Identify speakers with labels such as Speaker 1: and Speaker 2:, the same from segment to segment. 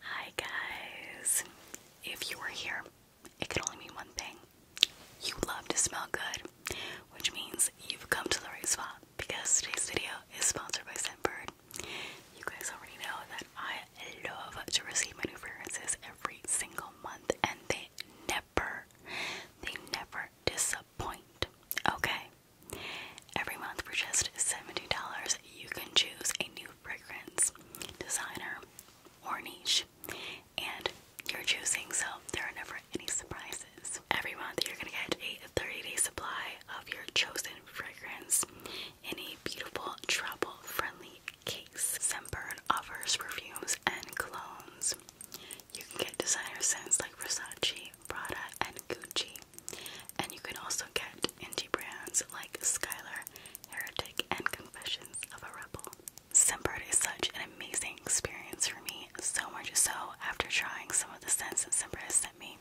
Speaker 1: Hi guys. If you were here, it could only mean one thing. You love to smell good, which means you've come to the right spot because today's video is sponsored by Scentbird. You guys already know that I love to receive my new fragrances every single month and they never, they never disappoint. Okay? Every month for just $70, you can choose a new fragrance designer or niche, and you're choosing, so there are never any surprises. Every month, you're gonna get a 30 day supply of your chosen fragrance in a beautiful, travel friendly case. Scentbird offers perfumes and colognes. You can get designer scents like Versace, Prada, and Gucci, and you can also get indie brands like Skylar, Heretic, and Confessions of a Rebel. Scentbird is such an amazing experience for me, so much so after trying some of the scents that Scentbird has sent me,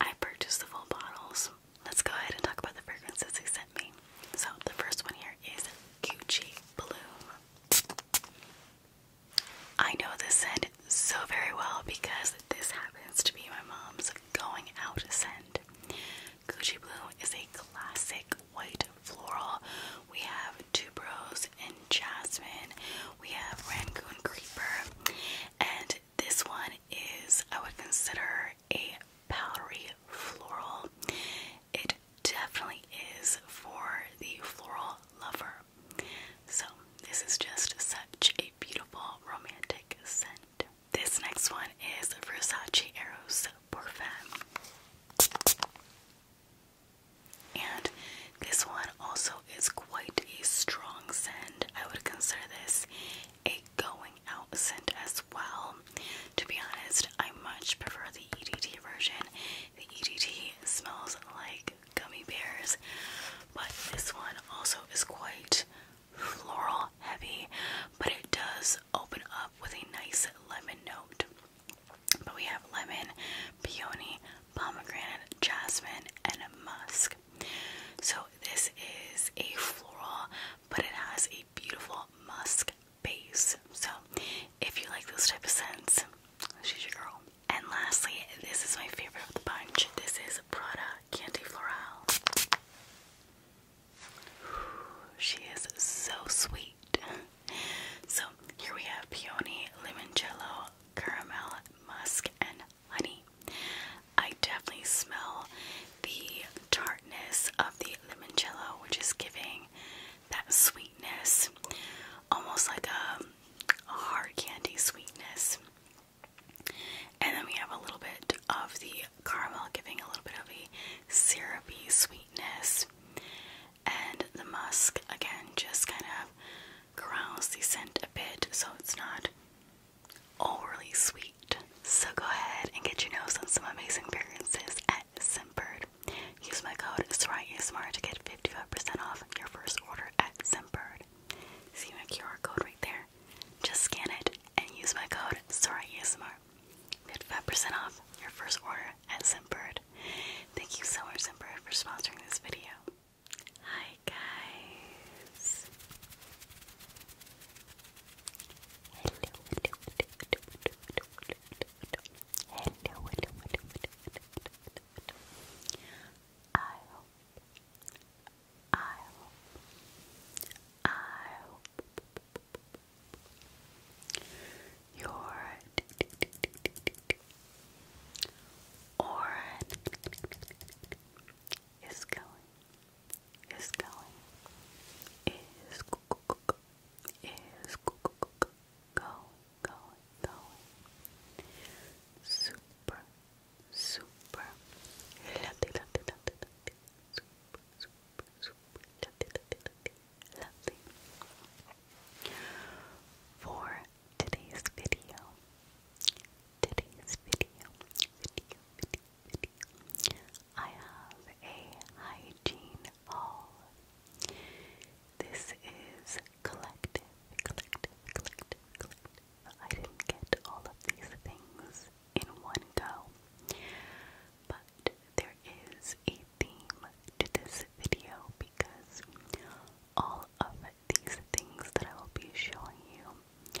Speaker 1: I purchased the full bottles. Let's go ahead and talk about the fragrances they sent me. So the first one here is Gucci Bloom. I know this scent so very well because this happens to be my mom's going out scent. Gucci Blue is a classic white floral. We have tuberose and jasmine. We have Rangoon Creeper. And this one is, I would consider, a powdery floral. It definitely is for the floral lover. So, this is just such a beautiful romantic scent. This next one is Versace Eros Parfum. And this one also is quite a strong scent. I would consider this a going out scent as well. To be honest, I much prefer the EDT version. The EDT smells like gummy bears, but this one also is quite floral heavy, but it does open up with a nice lemon note. But we have lemon, peony, pomegranate, jasmine, and musk. So this is a floral, but it has a beautiful musk base. So if you like those type of scents, she's your girl. And lastly, this is my favorite of the bunch. This is Prada Candy Floral. She is so sweet. So here we have peony, limoncello, caramel, musk, and honey. I definitely smell the tartness of the limoncello, which is giving that sweetness, almost like a, hard candy sweetness. And then we have a little bit of the caramel giving a little bit of a syrupy sweetness. And the musk again just kind of grounds the scent a bit so it's not overly sweet. So go ahead and get your nose on some amazing fragrances at Simbird. Use my code SORAYASMR to get 55% off your first order at Simbird. See my QR code right there. Just scan it and use my code SORAYASMR. 55% off your first order at Simbird. Thank you so much, Simbird, for sponsoring this video. Hi, guys. I hope, I hope your Oren is going, is going, is is going, going, going, super, super for today's video today's video video video video I have a hygiene haul this is collective collective collective collective I didn't get all of these things in one go. But there is a theme to this video because all of these things that I will be showing you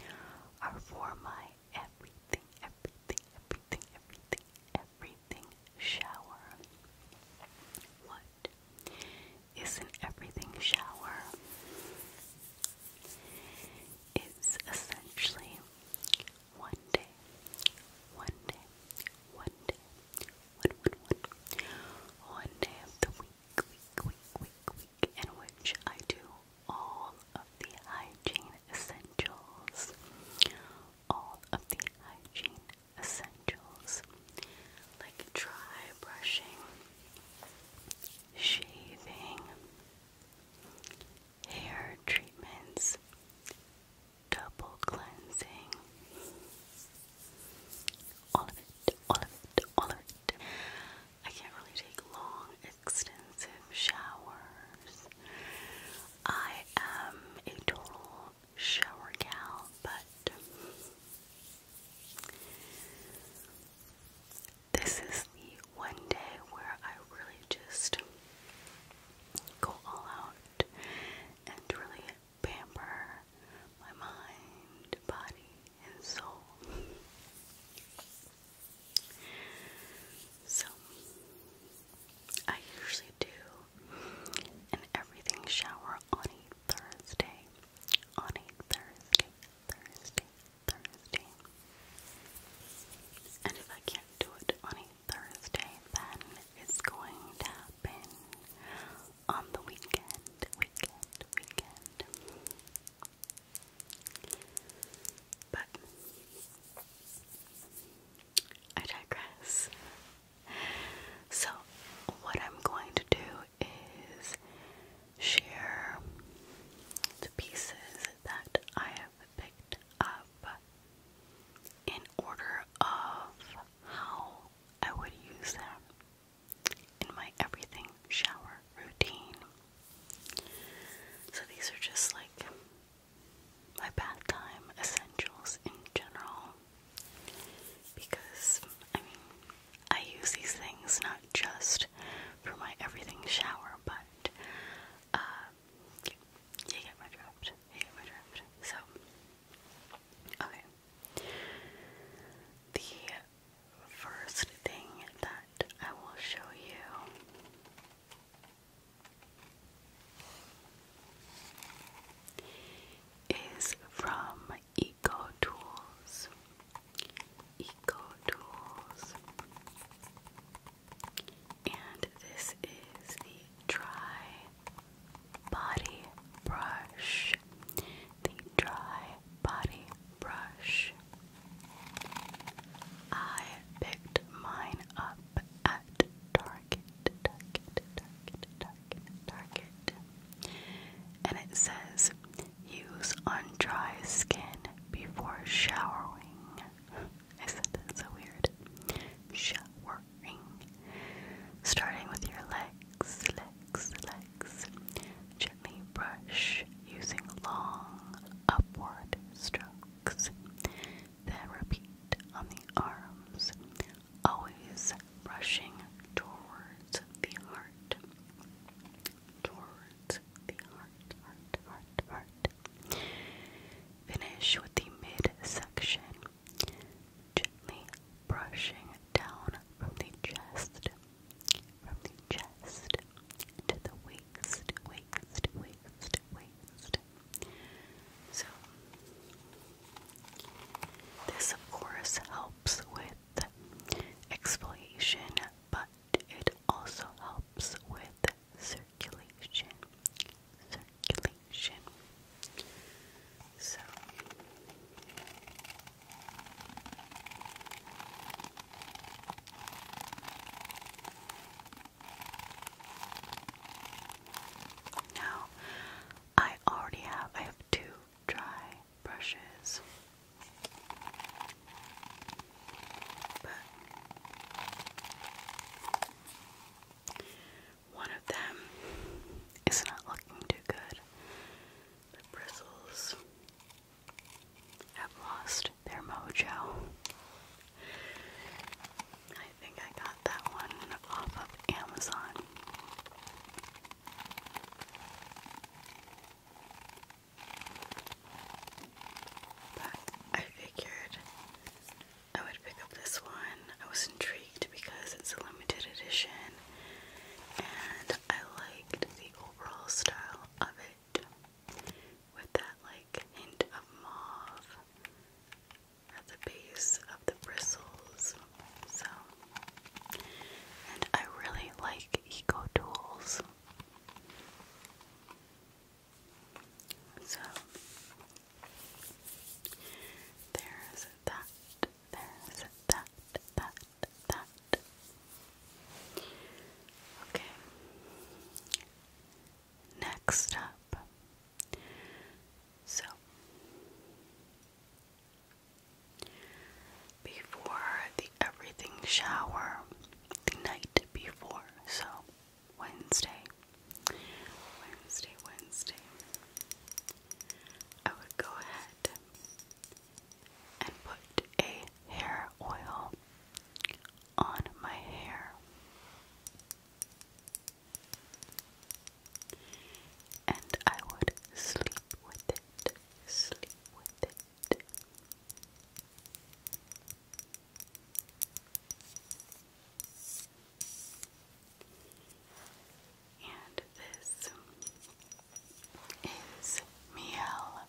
Speaker 1: are for my everything, everything, everything, everything, everything shower. What is an everything shower? is essentially one day, one day, one day, one, one, one, one day of the week, week, week, week, week, in which I do all of the hygiene essentials, all of the hygiene essentials, like dry brushing, shaving, hair treatments, double cleansing, all of it, all of it, all of it. I can't really take long, extensive showers. I am a total shower gal, but this is the one day where I really just go all out and really pamper my mind, body, and soul. So, I usually do an everything shower on a Thursday. On a Thursday, Thursday, Thursday. And if I can't do it on a Thursday, then it's going to happen on the weekend, weekend, weekend. But I digress. So, what I'm going to do is share the pieces that I have picked up in order of how I would use them in my everything shower routine. So these are just like my bath time essentials in general because I mean I use these things not just for my everything shower but uh, you, get my drift. You get my drift. So, okay. The first thing that I will show you is from Eco Tools. Eco Tools. And this is the dry body brush. The dry body brush. I picked mine up at Target, Target, Target, Target, Target. And it says use on dry skin before showering. I said that so weird. Showering. Starting with your legs, legs, legs. Gently brush using long upward strokes. Then repeat on the arms, always brushing towards the heart. Towards Finish with the midsection, gently brushing down from the chest, from the chest to the waist, waist, waist, waist. So, this of course helps with exfoliation, but it also helps with circulation, circulation. So now I already have I have two dry brushes. But one of them is not looking too good. The bristles have lost their mojo. I think I got that one off of Amazon. But I figured I would pick up this one. I was intrigued because it's a limited edition and I liked the overall style of it with that like hint of mauve at the base of the bristles. So, and I really like eco tools. So there's that, there's that, that, that. Okay. Next up. So before the everything shower, the night before, so Wednesday. Wednesday, Wednesday. I would go ahead and put a hair oil on my hair. And I would sleep with it, sleep with it. And this is Miel,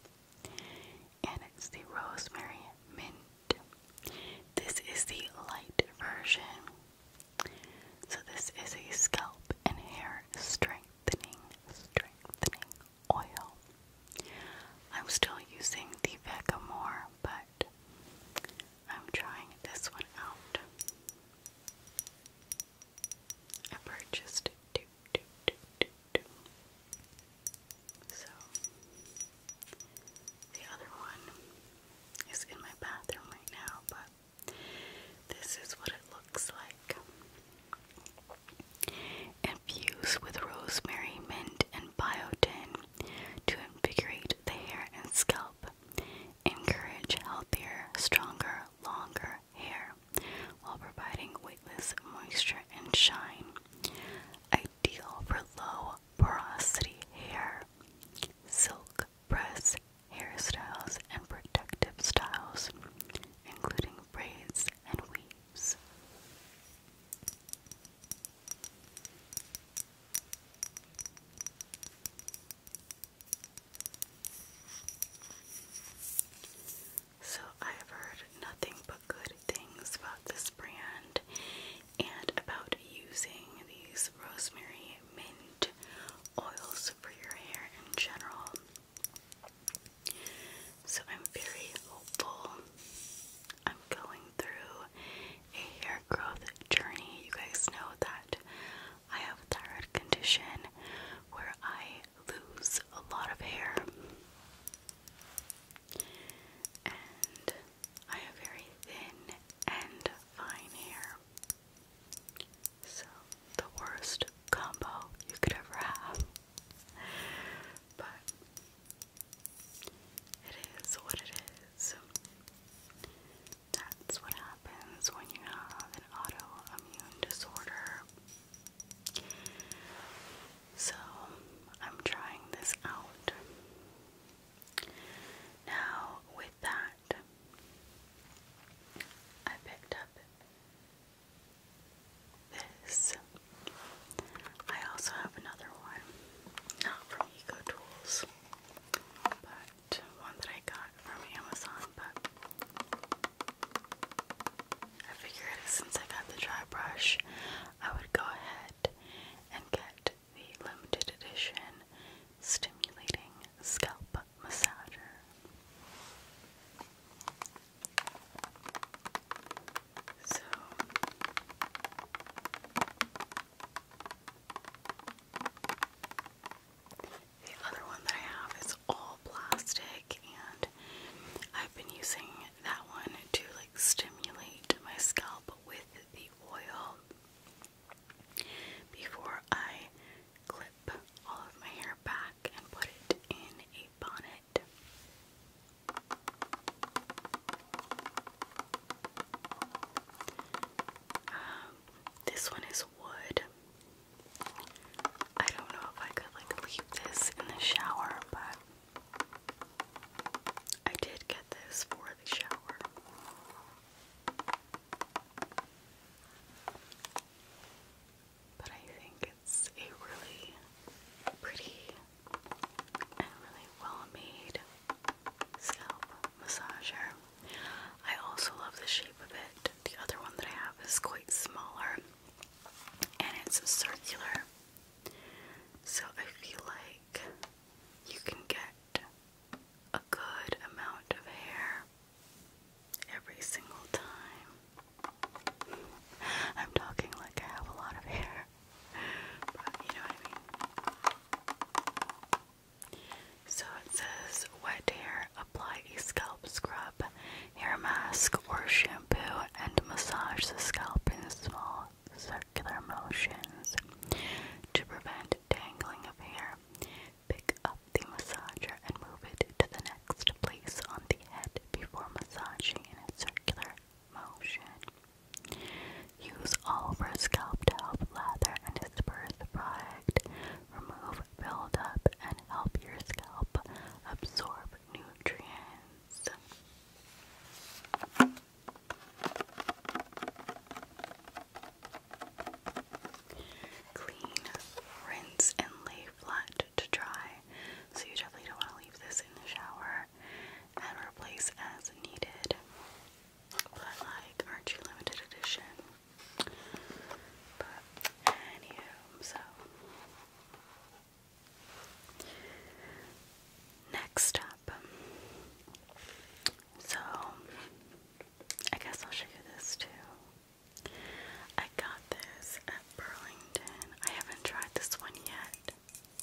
Speaker 1: and it's the Rosemary Mint. This is the light version. So, this is a scalp and hair strengthening, strengthening oil. I'm still using the Vecamore but I'm trying this one out. I purchased two, two, two, two, two. So the other one is in my bathroom right now, but this is what it looks like. Infused with rosemary, mint, and biotin, to invigorate the hair and scalp, encourage healthier, stronger, longer hair while providing weightless moisture and shine. Ideal for low porosity hair, silk press hairstyles, and protective styles, including braids and weaves. So, I've heard nothing but good things about this brand and about using these rosemary mint oils for your hair in general. So, I'm very hopeful. I'm going through a hair growth journey. You guys know that I have a thyroid condition where I lose a lot of hair. And I have very thin and fine hair. So, the worst combo you could ever have but it is what it is. That's what happens when you have an autoimmune disorder. So, I'm trying this out. Now, with that, I picked up this. I also have another one, eco tools, but one that I got from Amazon. But I figured since I got the dry brush, I would go ahead and get the limited edition stimulating scalp massager. So the other one that I have is all plastic and I've been using that one to like stimulate my scalp with the oil before I clip all of my hair back and put it in a bonnet. Um, this one is wood. I don't know if I could like leave this in the shower, but I did get this for the shower. But I think it's a really pretty and really well made scalp massager. I also love the shape of it. The other one that I have is quite smaller and it's circular. So I feel like you can get a good amount of hair every single time. I'm talking like I have a lot of hair. So it says wet hair, apply a scalp scrub, hair mask, or shampoo, and massage the scalp in small circular motions to prevent tangling of hair. Pick up the massager and move it to the next place on the head before massaging in a circular motion. Use all Oliver's scalp to help lather and disperse the product, remove buildup, and help your scalp absorb nutrients. Clean, rinse, and lay flat to dry. So, you definitely don't want to leave this in the shower and replace as needed. But like, aren't you limited edition? But anywho, so next up, so I guess I'll show you this too. I got this at Burlington. I haven't tried this one yet.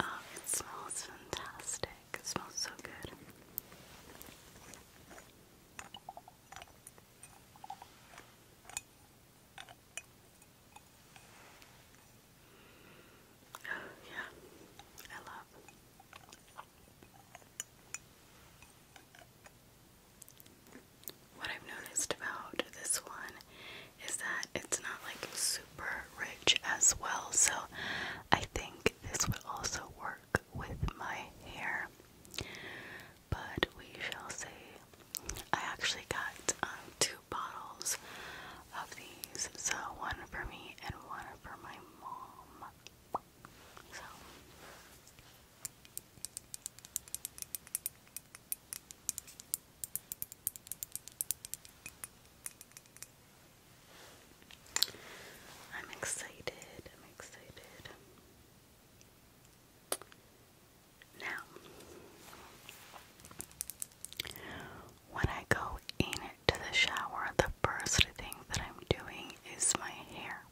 Speaker 1: Oh, it smells fantastic. It smells so good. yeah, I love. What I've noticed about this one is that it's not like super rich as well, so I think this would also work with my hair. But we shall see. I actually got um, two bottles of these, so one for me and one for my mom. So I'm excited. I'm excited. Now, when I go in to the shower, the first thing that I'm doing is my hair.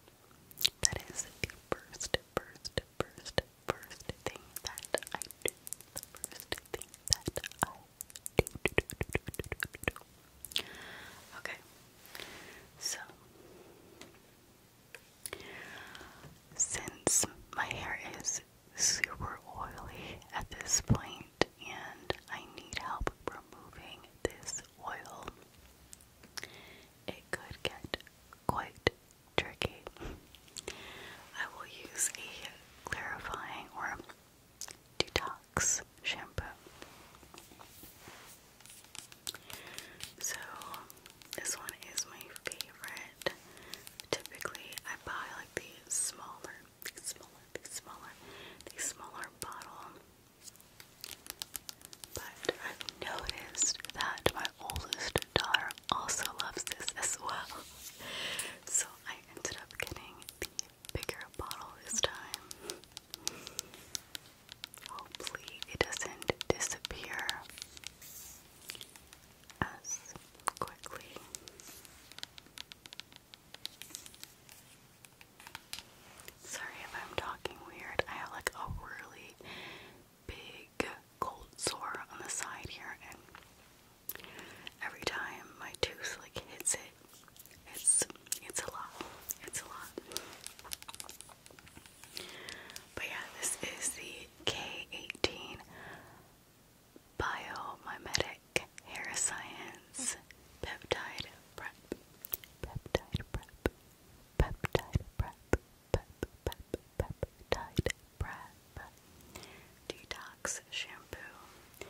Speaker 1: That is first, first, first, first thing that I do. The first thing that I do. do. Okay. So, since my hair is super oily at this point and I need help removing this oil, it could get quite Tricky. I will use a clarifying or detox shampoo. So, this one is my favorite. Typically, I buy like these smaller, the smaller, the smaller, the smaller bottle. But I've noticed that my oldest daughter also loves this as well. So I ended up getting the bigger bottle this time. Hopefully, it doesn't disappear as quickly. Sorry if I'm talking weird. I have like a really big cold sore on the side here, every time my tooth like hits it, it's it's a lot. It's a lot. But yeah, this is the K18 Biomimetic Hair Science Peptide Prep. Peptide Prep. Peptide Prep. Pep, pep, peptide prep. Detox shampoo.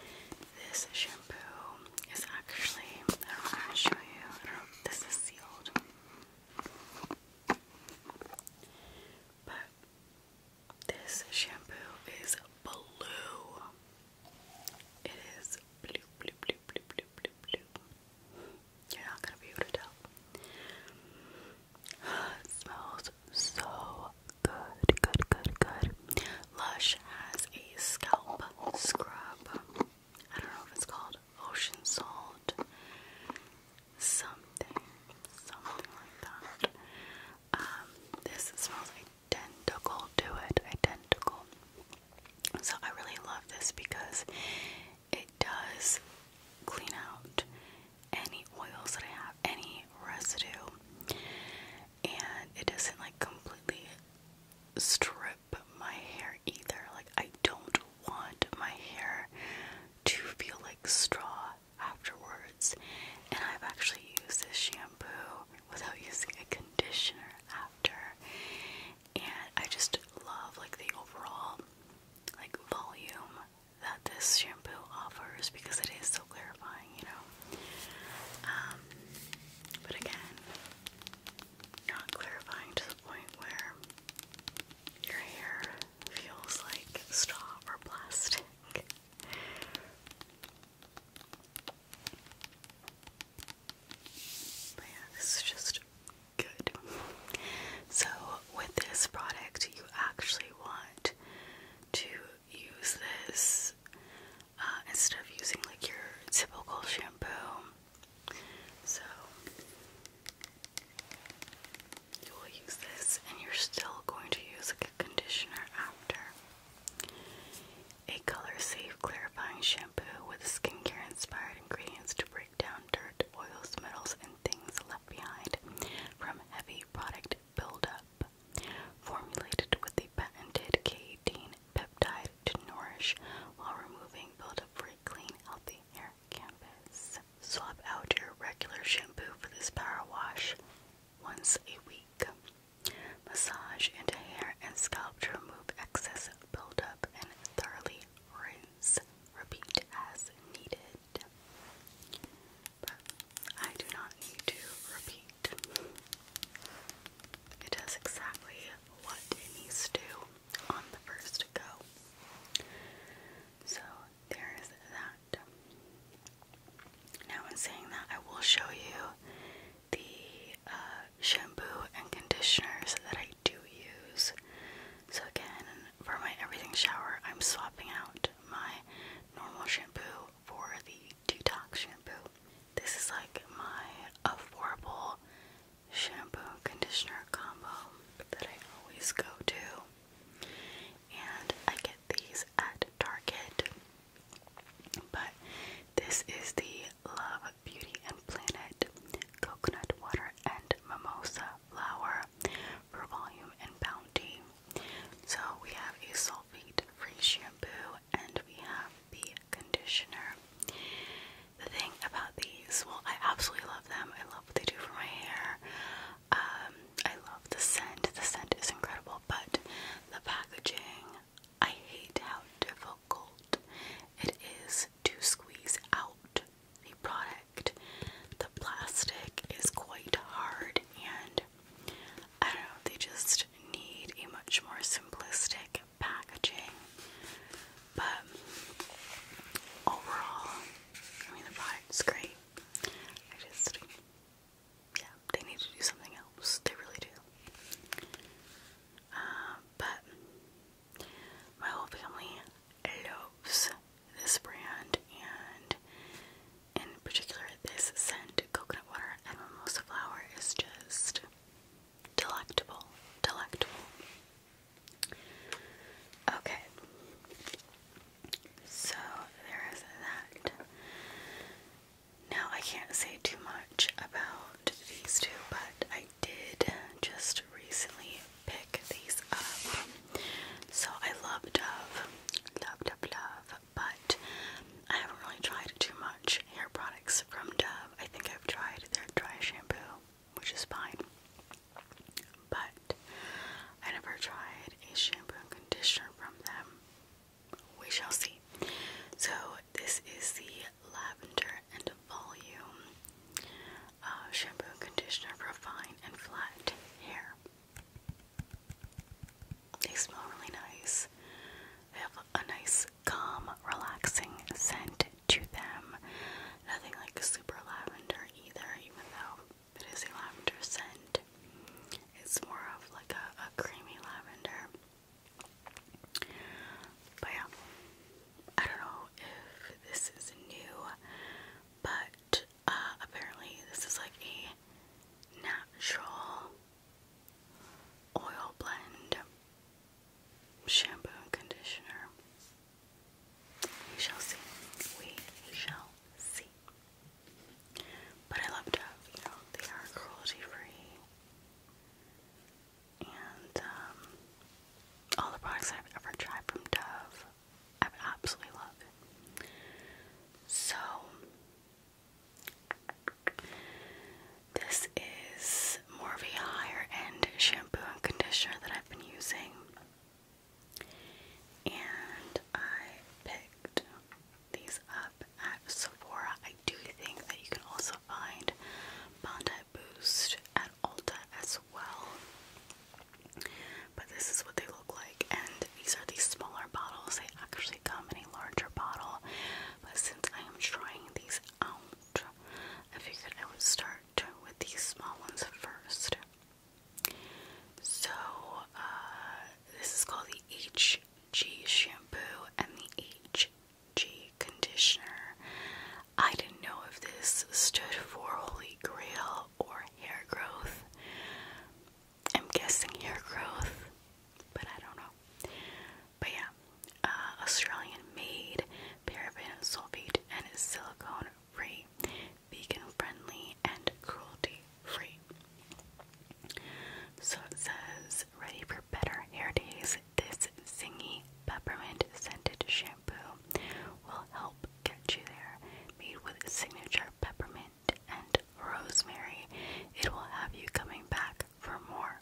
Speaker 1: This shampoo is actually, this is sealed. But this shampoo is blue. It is blue, blue, blue, blue, blue, blue, blue. You're not gonna be able to tell. Smells so good, good, good, good. Lush has a scalp scrub. I don't know if it's called ocean salt, something, something like that. Um, this smells identical to it, identical. So I really love this because it does clean out any oils that I have, any residue, and it doesn't like completely strip my hair either. Like, I don't want my hair to feel like straw afterwards. And I've actually used this shampoo without using a conditioner after, and I just love like the overall like volume that this shampoo offers because it is so clarifying, you know. Um, but again, not clarifying to the point where your hair feels like straw or plastic. But yeah, this is just good. So, with this product, you actually want to use this uh, instead of using like your typical shampoo. So you will use this, and you're still going to use like a conditioner after. A color-safe clarifying shampoo with skincare-inspired ingredients to break down dirt, oils, metals, and things left behind from heavy product buildup formulated with the patented K18 peptide to nourish while removing buildup for a clean, healthy hair Swap out your regular shampoo for this power wash once a week. Massage into hair and scalp to remove excess buildup and thoroughly rinse. Repeat as needed but I do not need to repeat. It does exactly what it needs to on the first go. So there is that. Now, in saying that, I will show you the uh, shampoo and conditioners that I do use. So, again, for my everything shower, I'm swapping out my normal shampoo for the detox shampoo. This is like my affordable shampoo conditioner combo that I always go to. And I get these at Target. But this is the Love Beauty and Planet Coconut Water and Mimosa Flower for Volume and Bounty. So we have a sulfate-free shampoo and we have the conditioner. The thing about these, well, I absolutely love them. I love what they do for my hair. Um, I love the scent. The scent is incredible, but the packaging, I hate how difficult it is to squeeze out a product. The plastic is quite hard and I don't know, they just need a much more simplistic packaging. But overall, I mean, the product's great. I just, yeah, they need to do something else. They really do. Uh, but my whole family loves this brand, and in particular, this scent, coconut water and mimosa flower, is just delectable. Delectable. Okay. So there is that. Now I can't say too much about these two, but I did just recently pick these up. So I love Dove. Love, love, love but I haven't really tried too much hair products from Dove. I think I've tried their dry shampoo, which is fine, but I never tried a shampoo and conditioner from them. We shall see. So, this is the Lavender and Volume uh, Shampoo and Conditioner for Fine and Flat Hair. They smell really nice. They have a nice, calm, relaxing scent to them. Nothing like super lavender either, even though it is a lavender scent. It's more of like a, creamy lavender. But yeah, I don't know if this is new, but uh, apparently this is like a natural oil blend, shampoo and conditioner. We shall see. We shall see. But I love Dove, you know, they are cruelty free. And um, all the products I've ever tried from Dove, I've absolutely loved. So this is more of a higher end shampoo and conditioner that I've been using. And I picked these up at Sephora. I do think that you can also find Bondi Boost at Ulta as well. But this is what they look like. And these are these smaller bottles. They actually come in a larger bottle. But since I am trying these out, I figured I would start with these small ones first. So, uh, this is called the HG shampoo and the HG conditioner. I didn't know if this stood for Holy Grail or hair growth, I'm guessing hair growth, but I don't know. But yeah, uh, Australian made, paraben sulfate, and is silicone free, vegan friendly, and cruelty free. So it says, ready for better hair days, this zingy peppermint scented shampoo will help get you there. Made with signature peppermint and rosemary. It will have you coming back for more.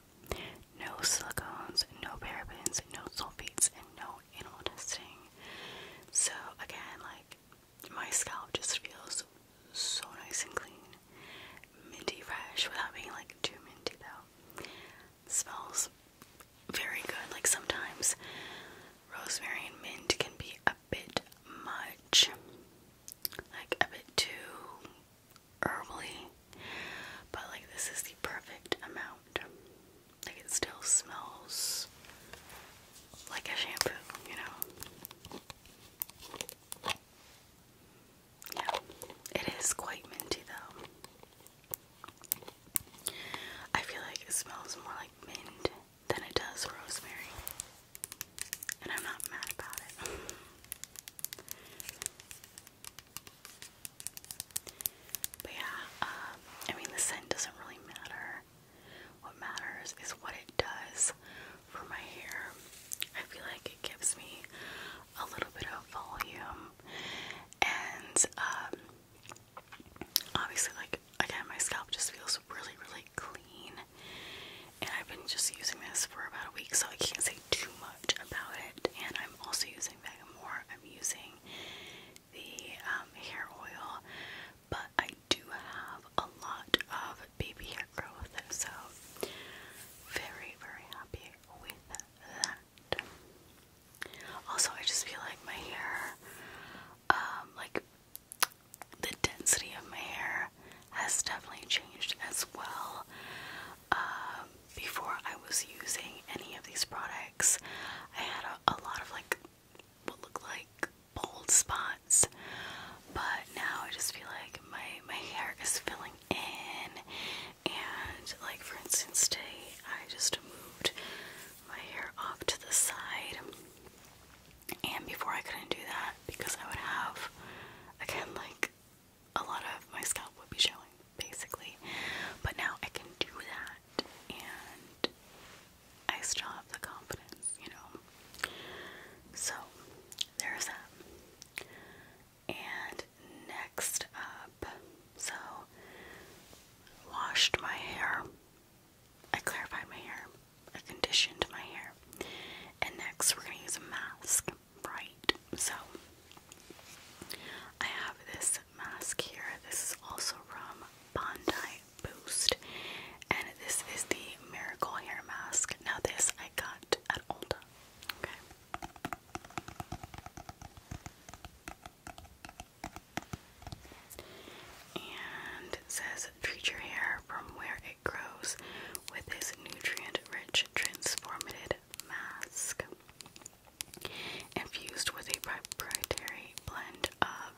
Speaker 1: No silicones, no parabens, no sulfates, and no animal testing. So again, like my scalp just feels so nice and clean, minty fresh without being like too minty though. Smells very good. Like sometimes rosemary and mint can be a bit much like a bit too herbally, but like this is the perfect amount. Like it still smells like a shampoo, you know. Yeah, it is quite minty though. I feel like it smells more like mint than it does rosemary. And I'm not mad about it. but yeah, um, I mean, the scent doesn't really matter. What matters is what it does for my hair. I feel like it gives me a little bit of volume, and um, obviously, like again, my scalp just feels really, really clean and I've been just using this for about a week, so I can't say too much about it. And I'm also using Vagamore. I'm using the um, hair oil, but I do have a lot of baby hair growth, so very, very happy with that. Also, I just feel like my hair, um, like the density of my hair has definitely changed as well. Um, before I was using any of these products, I had a, lot of like what looked like bold spots, but now I just feel like my my hair is filling in, and like for instance today I just moved my hair off to the side and before I couldn't do that because I would have, again, like a lot of my scalp would be showing basically. But now I can do that and I still have the confidence, you know. So there's that. And next up, so washed my hair. I clarified my hair a condition to my hair. And next, we're going to use a mask, right? So, I have this mask here. This is also from Bondi Boost. And this is the Miracle Hair Mask. Now, this I got at Ulta. Okay. And it says treat your hair from where it grows with his nutrient-rich transformative mask. Infused with a proprietary blend of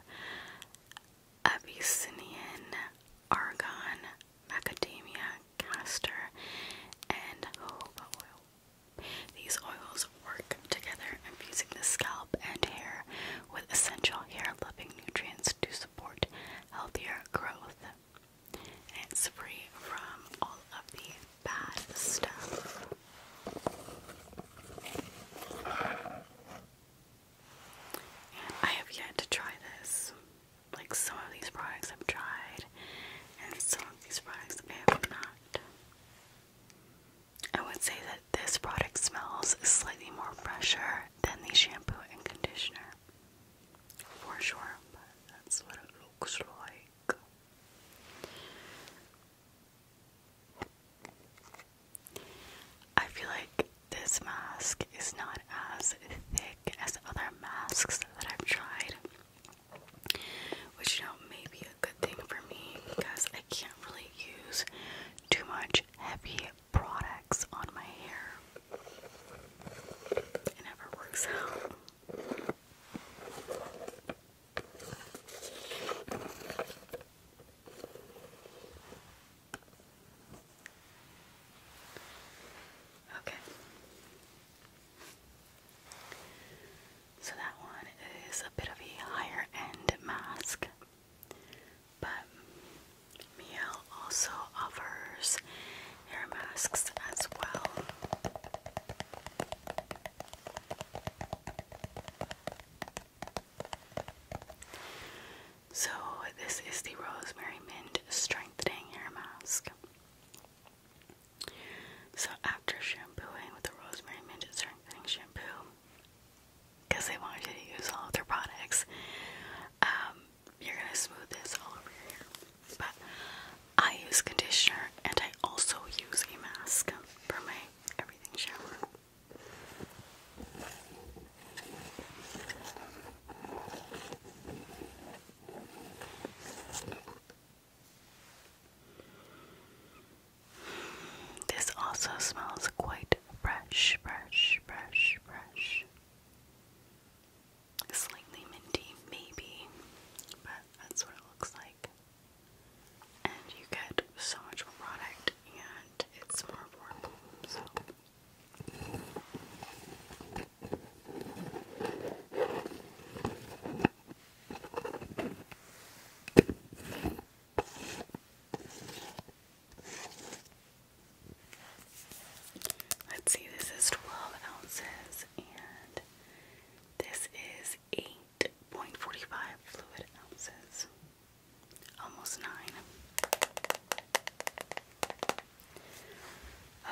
Speaker 1: Abyssinian argon, macadamia, castor, and jojoba oil. These oils work together, infusing the scalp and hair with essential hair-loving nutrients to support healthier growth it's free from all of the bad stuff. I have yet to try this. Like some of these products I've tried, and some of these products I have not. I would say that this product smells slightly more fresher than the shampoo and conditioner for sure, that's what it looks like. I feel like this mask is not as thick as other masks that I've tried, which you know may be a good thing for me because I can't really use too much heavy products on my hair. It never works out. Okay. So that one is a bit of a higher end mask, but Miel also offers hair masks as well. So, this is the Rosemary Mint Strengthening Hair Mask. So, after shampooing with the Rosemary Mint Strengthening Shampoo, because they wanted you to use all of their products, um, you're gonna smooth this all over your But I use conditioner and I also use a mask for my everything shower. This also smells quite fresh, fresh, fresh, fresh slightly minty, maybe, but that's what it looks like. And you get so much more product, and it's more warm. So. Let's see, this is 12 ounces and this is 8.45 fluid ounces. Almost 9.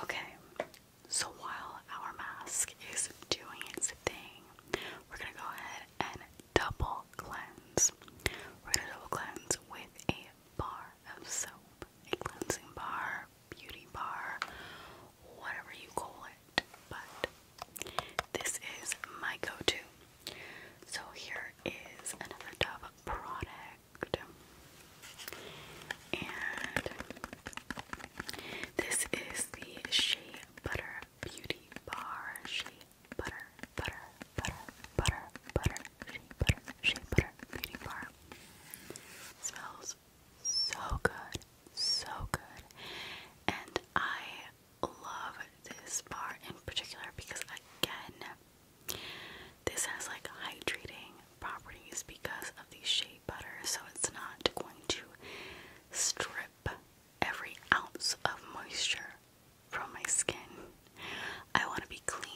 Speaker 1: Okay, so while our mask is doing its thing, we're gonna go ahead and double cleanse. We're gonna double cleanse with a bar of soap, a cleansing bar beauty bar, whatever you call it. But this is my go to. So here is another Dove product. And this is the Shea Butter Beauty Bar. Shea Butter, Butter, Butter, Butter, Butter shea butter, shea butter beauty bar. Smells so good, so good. And I love this bar in particular because again, this has like hydrating properties because of the shea butter, so it's not going to strip every ounce of moisture from my skin. I want to be clean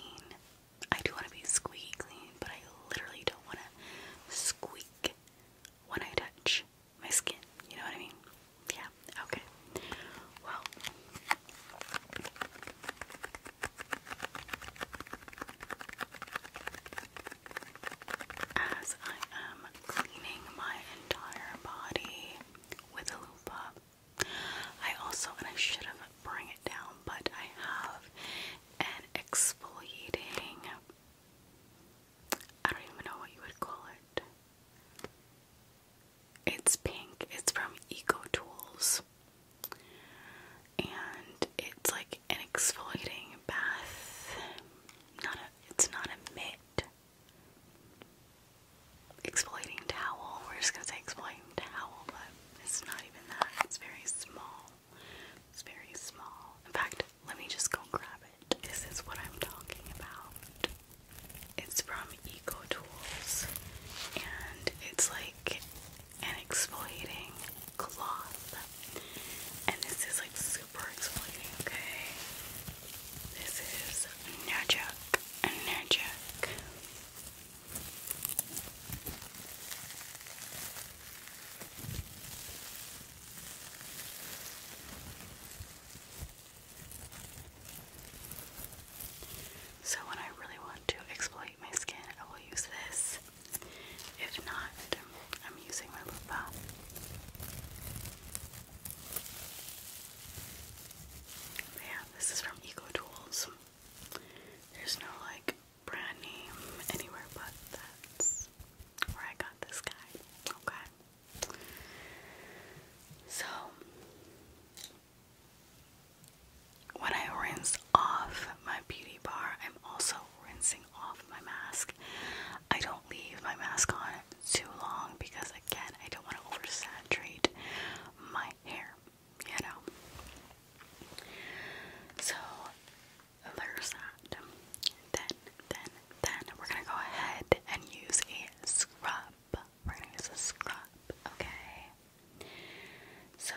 Speaker 1: I do want to be squeaky clean, but I literally don't want to squeak when I touch my skin. You know what I mean? Yeah. Okay. Well. As I am cleaning my entire body with a loofah, I also, and I should have bring it down, but I have and exfoliating. I don't even know what you would call it. It's pink. It's from Eco And it's like an exfoliating bath. Not a it's not a mitt. Exfoliating towel. We're just gonna say exfoliating towel, but it's not even that. It's very small. It's very small. In fact, let me just go grab it. This is what I'm talking about. It's from Eco Tools and it's like an exploiting cloth. And this is like super exploiting. okay? This is magic and Nurjuk. So, when I really want to exploit my skin, I will use this. If not, I'm using my lip Yeah, this is from Eco There's no like brand name anywhere but that's where I got this guy. Okay. So when I rinse off my beauty bar, I'm also rinsing off my mask. I don't leave my mask on too long because again, I don't want to oversaturate my hair, you know. So there's that. Then, then, then we're gonna go ahead and use a scrub. We're gonna use a scrub, okay? So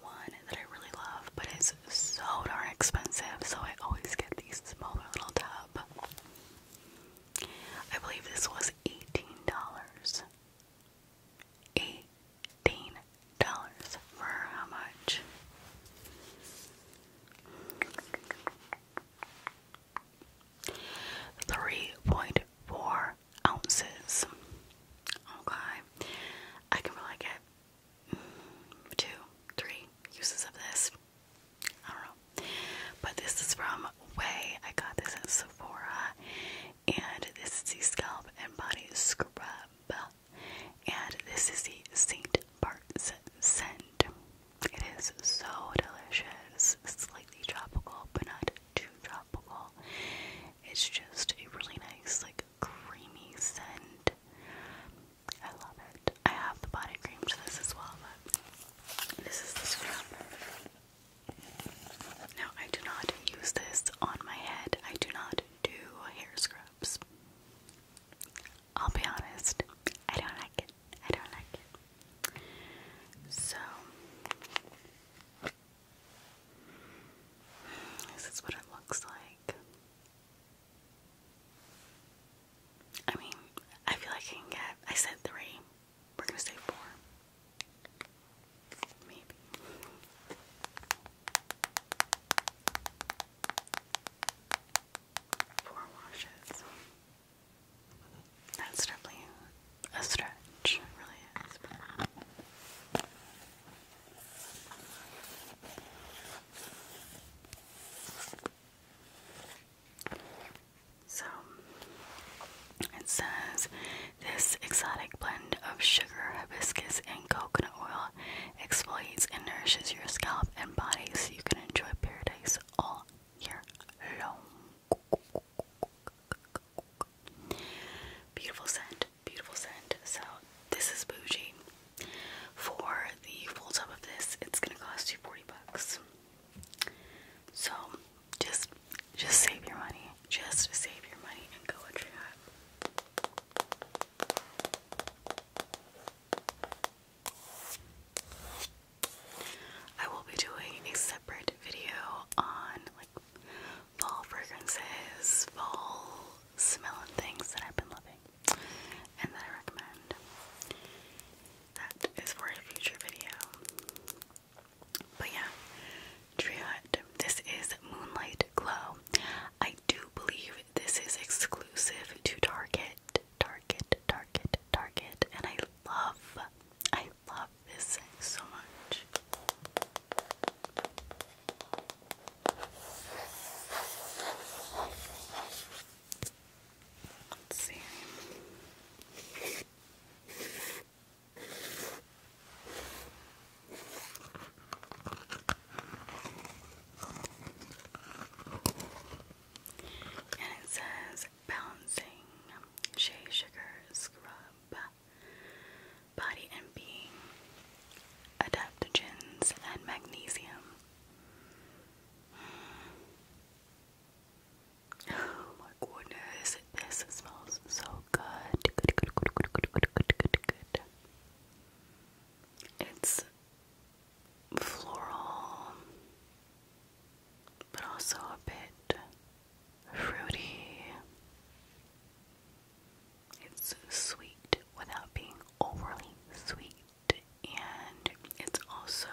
Speaker 1: one that I really love, but it's so darn expensive, so I always get these smaller little tub. I believe this was eighteen dollars. $18 dollars for how much? Three point four ounces. Okay, I can probably get two, three uses of this. I don't know, but this is from Way. I got this at Sephora, and this is the scalp and body scrub and this is the Saint Bart's scent. It is so delicious, slightly tropical, but not too tropical. It's just a really nice, like creamy scent. I love it. I have the body cream to this as well, but this is the scrub. Now, I do not use this on my head. I do not do hair scrubs, I'll be honest, I don't like it. I don't like it. So, this is what it looks like. I mean, I feel like I can get, I said three. We're gonna say four. Maybe. Four washes. That's definitely a stretch, really is. So it says this exotic blend of sugar, hibiscus, and coconut oil exfoliates and nourishes your scalp and body so you can enjoy paradise all year long. Beautiful scent, beautiful scent. So, this is bougie. For the full tub of this, it's gonna cost you 40 bucks. So, just just save your money. Just save your money and go and I will be doing a separate video on like fall fragrances, fall smelling things that I've been loving and that I recommend. That is for a future video. But yeah, Tree Hut. This is Moonlight Glow. I do believe this is exclusive to Target, Target, Target, Target, and I love, I love this so much. Let's see. And it says Balancing Shea Sugar Scrub Body and Being Adaptogens and Magnesium. Oh my goodness, this smells so good. Good, good, good, good, good, good, good, good, good. It's floral, but also a bit fruity. It's sweet without being overly sweet, and it's also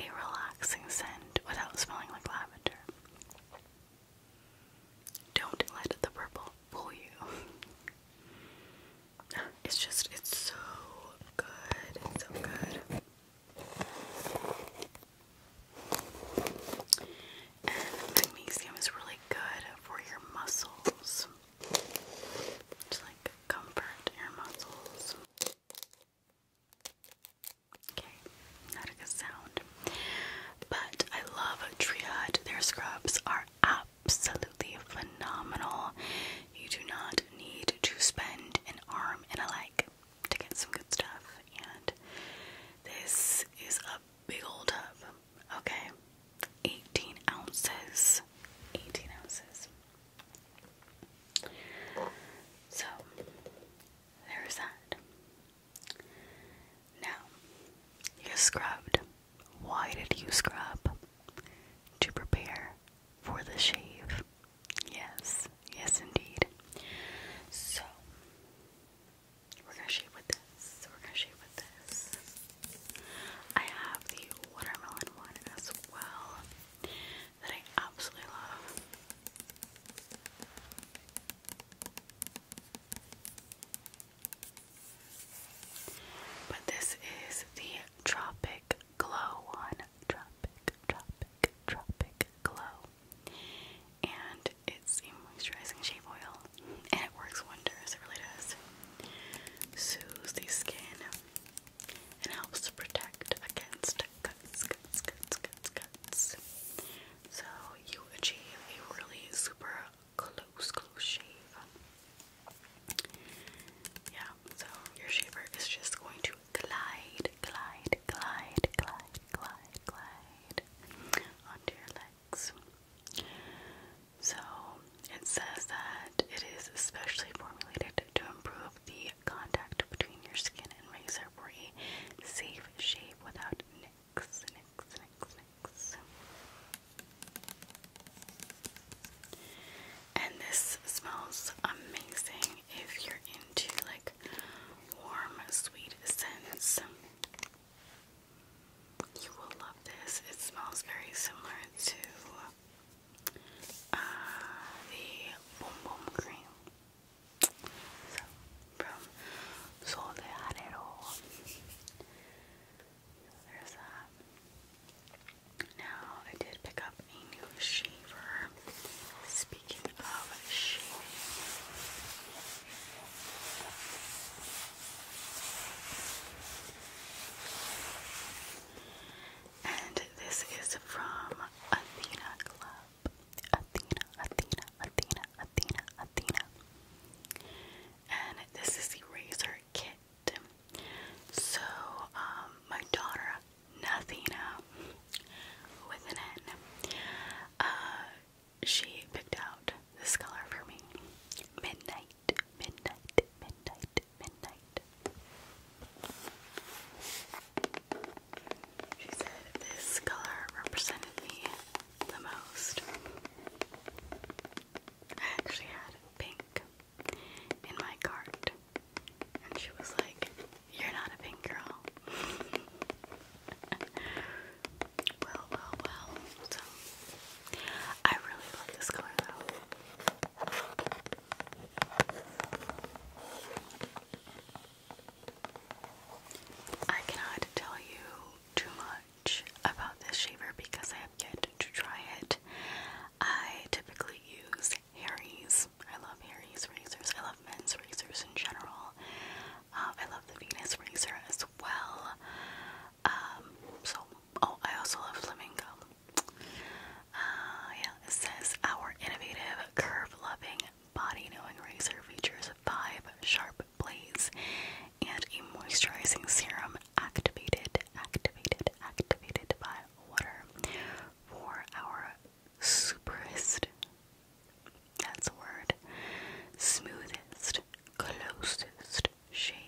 Speaker 1: a relaxing scent without smelling like lavender. Don't let the purple fool you. It's just, it's so good. It's so good. And magnesium is really good for your muscles. Just like comfort your muscles. Okay, not a sound. But I love Triad. Their scrubs are absolutely absolutely phenomenal. You do not need to spend an arm and a leg to get some good stuff. And this is a big old tub. Okay. 18 ounces. 18 ounces. So, there's that. Now, you're scrubbed. Why did you scrub? To prepare for the shave. Yes, yes, indeed. So, we're gonna shave with this. We're gonna shave with this. I have the watermelon one as well that I absolutely love. But this is the Tropic Glow one. Tropic, Tropic, Tropic Glow. And it's a moisturizing shave oil. And it works wonders, it really does. Soothes the skin and helps to protect against cuts, cuts, cuts, cuts, cuts. So you achieve a really super close, close shave. Yeah, so your shaver is just going to glide, glide, glide, glide, glide, glide onto your legs. So it says that it is especially formulated to improve the contact between your skin and razor for a safe shave without nicks, nicks, nicks. And this smells amazing if you're into like warm, sweet scents. You will love this. It smells very similar to uh, the Boom Cream. from Sol de now I did pick up a new shaver. Speaking of shaving, and this is from Athena Club. Athena, Athena, Athena, Athena, Athena. And this is the razor kit so, um, my daughter, Nathina, with an N, uh, she picked out this color for me. Midnight, midnight, midnight, midnight. She said this color represented me the most. I actually had pink in my cart. And she was like, You're not a pink girl. well, well, well. So, I really love this color I cannot tell you too about this shaver because I have yet to try it. I typically use Harry's. I love Harry's razors. I love men's razors in general. Um, I love the Venus razor as well. Um, so, oh, I also love Flamingo. Uh, yeah, it says our innovative, curve-loving, body-knowing razor features five sharp blades and a moisturizing serum activated, activated, activated by water for our superest, that's a word, smoothest, closest shave.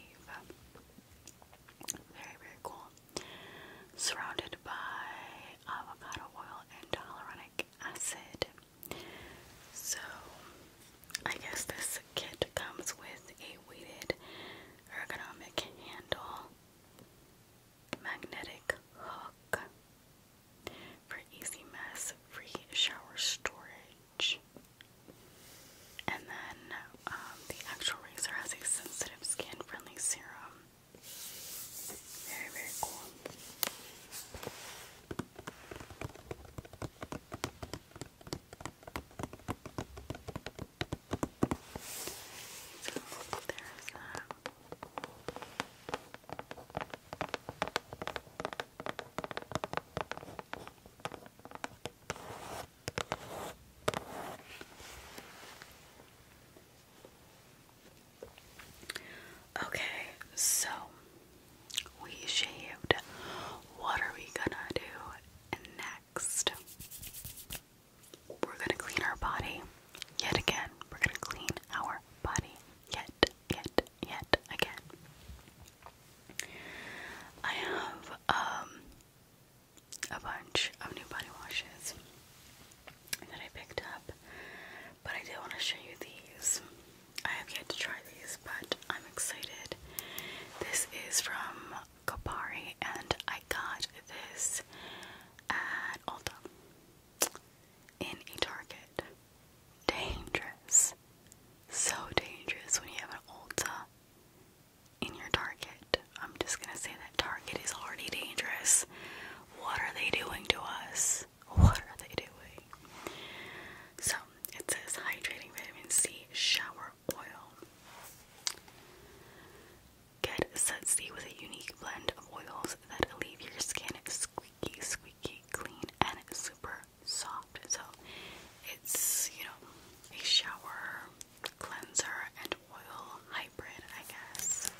Speaker 1: Very, very cool. Surrounded by avocado oil and hyaluronic acid. So, I guess this kit comes with a weighted ergonomic handle, magnetic hook for easy mess free shower storage. And then um, the actual razor has a sensitive skin friendly serum. Very, very cool. Okay, so we shaved. What are we gonna do next? next, we're gonna clean our body yet again. We're gonna clean our body yet, yet, yet again. I have um, a bunch of new body washes that I picked up, but I did want to show you these. I have yet to try these, but I'm excited. This is from Kopari and I got this at Ulta in a Target. Dangerous. So dangerous when you have an Ulta in your Target. I'm just gonna say that Target is already dangerous. What are they doing to us? What are they doing? So it says hydrating vitamin C shower oil. Get Set C with a unique blend of oils that leave your skin squeaky, squeaky clean and super soft. So it's, you know, a shower, cleanser, and oil hybrid, I guess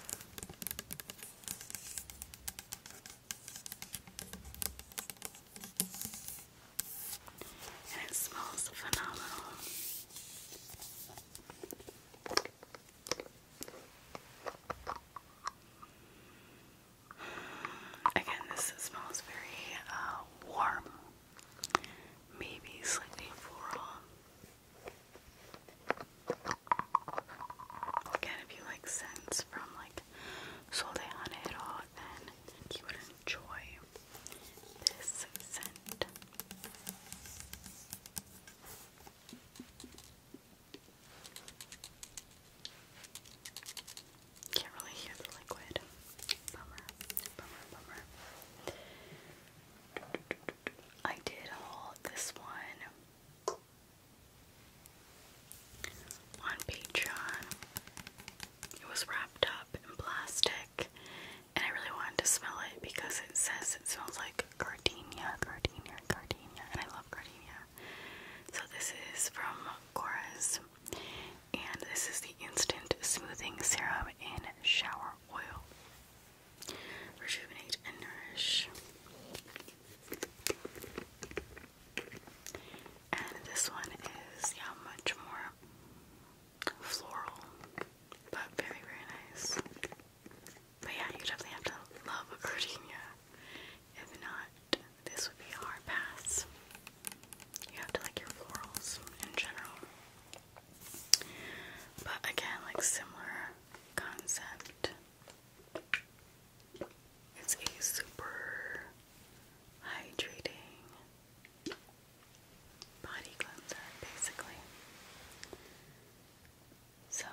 Speaker 1: and it smells phenomenal. Again, this smells very uh, warm, maybe slightly floral. Again, if you like scents from like Sol de then you would enjoy this Can't really hear the liquid. Bummer, bummer, bummer. I did haul this one on Patreon. It was wrapped up in plastic and I really wanted to smell it because it says it smells like gardenia, gardenia, gardenia, and I love gardenia. So this is from Cora's, and this is the Instant Smoothing Serum and Shower Oil. Rejuvenate and nourish. And this one is yeah much more floral, but very, very nice. But yeah, you definitely have to love a gardenia. If not, this would be a hard pass. You have to like your florals in general. But again, like similar concept. It's a super hydrating body cleanser, basically. So,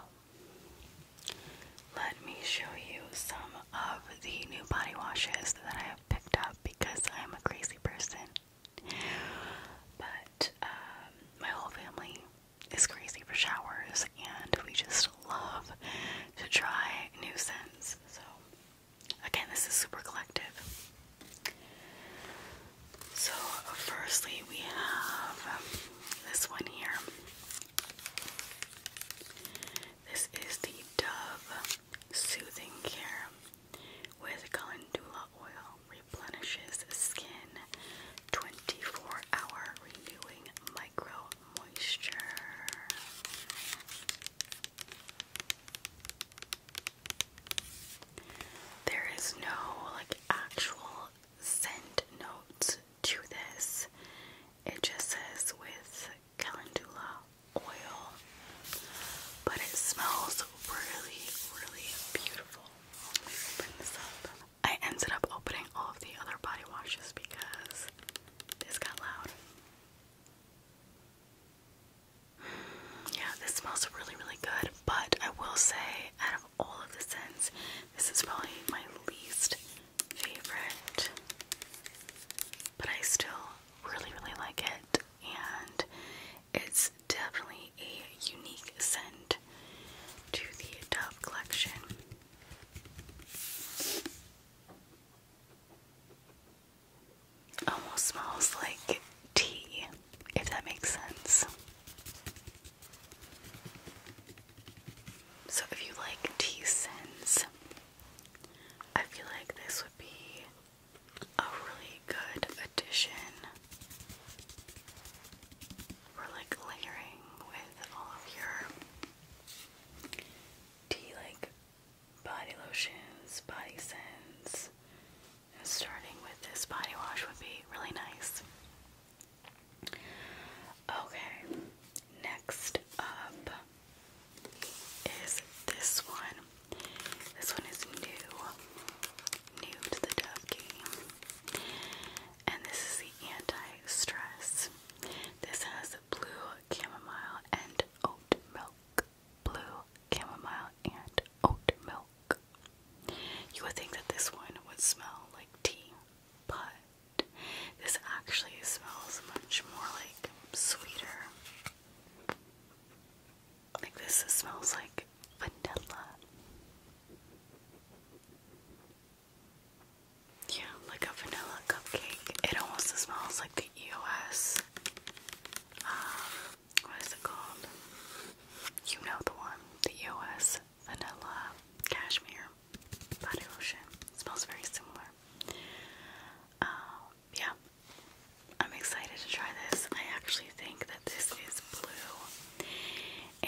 Speaker 1: let me show you some of the new body washes that I have picked up because I'm a crazy person. But um, my whole family is crazy for showers and we just love to try new scents. So, Again, this is super collective. So, firstly, we have this one here. This is the Dove Soothing Care with Calendula Oil. Replenishes skin 24 hour renewing micro moisture. There is no like actual scent notes to this. It just says with calendula oil, but it smells really, really beautiful. I ended up opening all of the other body washes because this got loud. Yeah, this smells really, really good, but I will say, out of all of the scents, this is probably my least favorite. But I still really, really like it, and it's definitely a unique scent to the Dove collection. Almost smells like tea, if that makes sense. So, if you like tea scents, I feel like this would be a really good addition for like layering with all of your tea, like body lotions, body scents, starting with this body wash would be really nice. Okay, next up is this one. This one is new, new to the Dove game, and this is the anti-stress. This has blue chamomile and oat milk blue, chamomile, and oat milk. You would think that this one would smell like tea, but this actually smells much more like sweeter. Like this smells like vanilla. Yeah, like a vanilla cupcake. It almost smells like the EOS um, what is it called? You know the one, the EOS Vanilla Cashmere Body Lotion. smells very similar. Um, yeah, I'm excited to try this. I actually think that this is blue,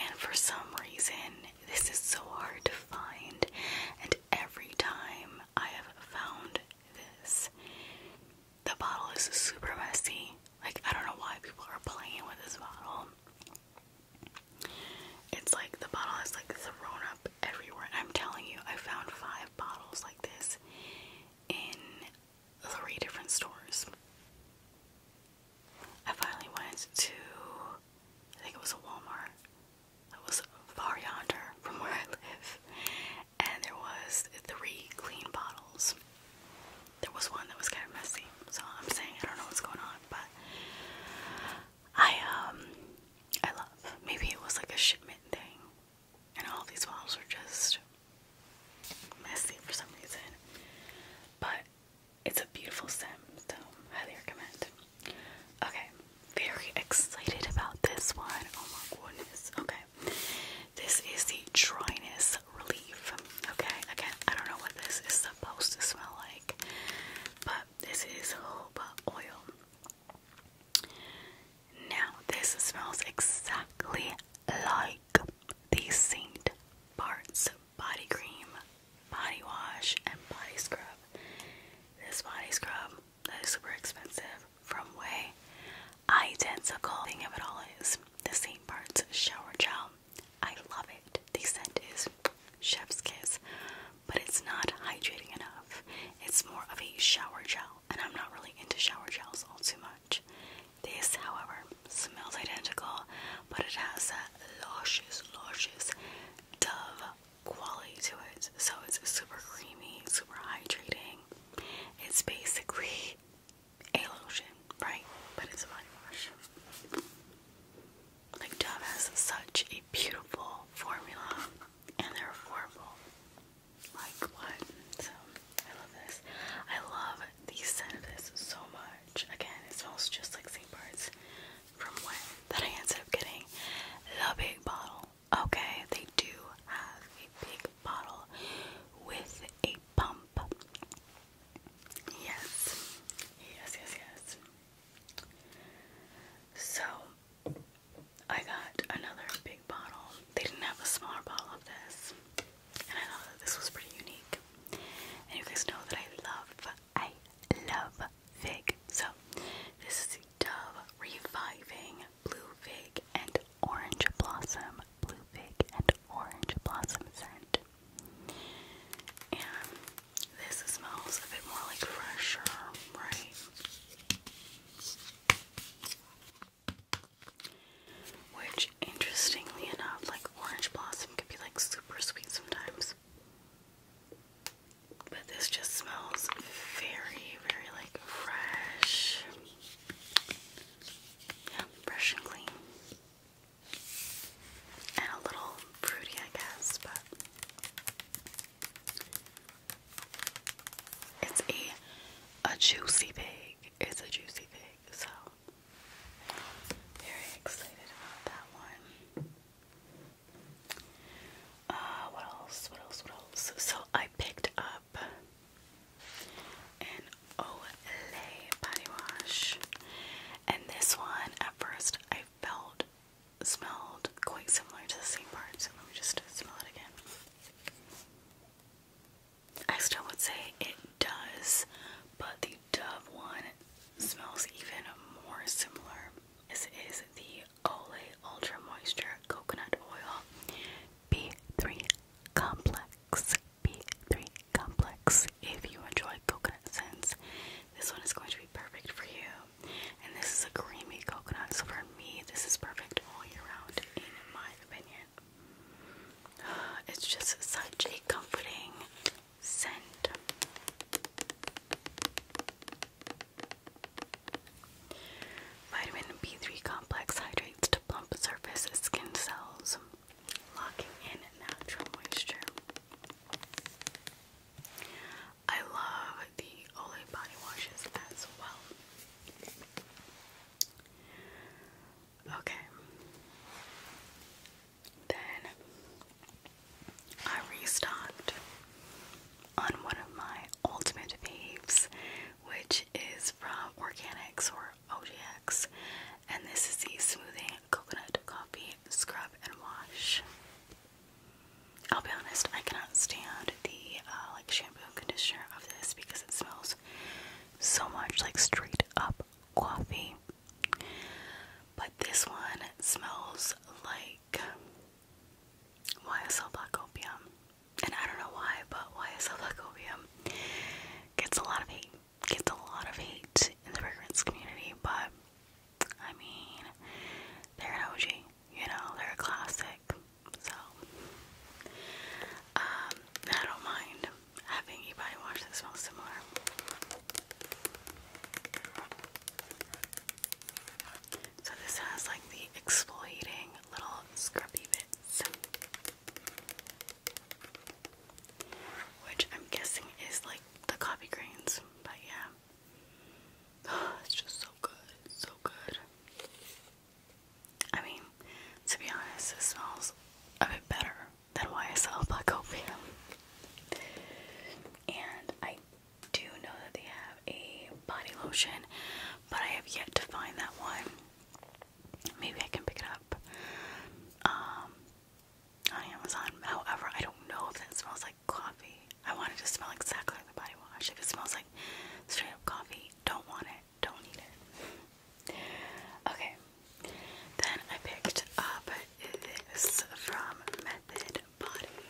Speaker 1: and for some reason, this is so hard to find. And every time I have found this, the bottle is super messy. Like, I don't know why people are playing with this bottle. It's like the bottle is like thrown up everywhere. And I'm telling you, I found five bottles like this in three different stores. I finally went to, I think it was a Walmart. that was far yonder from where I live and there was three clean bottles. There was one that was kind of messy, so I'm saying I don't know what's going on, but I um I love. Maybe it was like a shipment thing, and all these bottles are just messy for some reason. But it's a beautiful scent, so highly recommend. Okay, very excited about this one. Oh my goodness. Okay. This is the dryness relief, okay? Again, I don't know what this is supposed to smell like, but this is jojoba oil. Now, this smells exactly like the Saint Bart's body cream, body wash, and body scrub. This body scrub that is super expensive from Way identical. Thing of it all is the St. Bart's shower gel. I love it. The scent is chef's kiss, but it's not hydrating enough. It's more of a shower gel, and I'm not really into shower gels all too much. This, however, smells identical, but it has that luscious, luscious dove quality to it. So it's super creamy, super hydrating. It's basically a lotion, right? But it's a body wash. Like Dove has such a beautiful formula, and they're affordable. Like what? So I love this. I love the scent of this so much. Again, it smells just like St. Bart's from when that I ended up getting the big bottle. Okay, they do have a big bottle with a pump. Yes, yes, yes, yes. So I got another big bottle. They didn't have a smaller bottle of this, and I thought that this was pretty unique. And you guys know that I love, I love fig. So this is Dove Reviving Blue Fig and Orange Blossom Blue Fig and orange blossom scent. And this smells a bit more like fresh right? Which, interestingly enough, like orange blossom could be like super sweet sometimes. But this just smells very, very like fresh. Yeah, fresh and clean and a little fruity, I guess, but it's a a juicy pig. It's a juicy pig, so very excited about that one. Uh, what else? What else? What else? So I picked up an Olay body wash. And this one, at first, I felt smelled quite similar to the same part, so let me just smell it again. I still would say it does, but the Dove one smells even more similar. This is the Olay Ultra Moisture Coconut Oil B3 complex. B3 complex. If you enjoy coconut scents, this one is going to be perfect for you. And this is a creamy coconut, so for me, this is perfect all year round, in my opinion. It's just such a comforting scent. Vitamin B3 complex hydrates to plump surface skin cells locking in natural moisture. I love the Olay body washes as well. Okay. Then I restocked on one of my ultimate faves, which is from Organics or OGX, and this is the Smoothing Coconut Coffee Scrub and Wash. I'll be honest, I cannot stand the uh, like shampoo and conditioner of this because it smells so much like straight up coffee. But this one smells like YSL Black Opium. And I don't know why, but YSL Black Opium gets a lot of hate gets a lot of hate in the fragrance community, but I mean, they're an OG, you know, they're a classic. So, um, I don't mind having a body wash that similar. So, this has like the exfoliating little scrubby bits. Which I'm guessing is like the coffee grains, but yeah. it's just so good. so good. I mean, to be honest, it smells a bit better than YSL Black Opium. And I do know that they have a body lotion, but I have yet to find that one. Maybe I can pick it up. Um, on Amazon. However, I don't know if that smells like coffee. I want it to smell exactly like the body wash. If it smells like straight up coffee, don't want it. Don't need it. Okay. Then I picked up this from Method Body.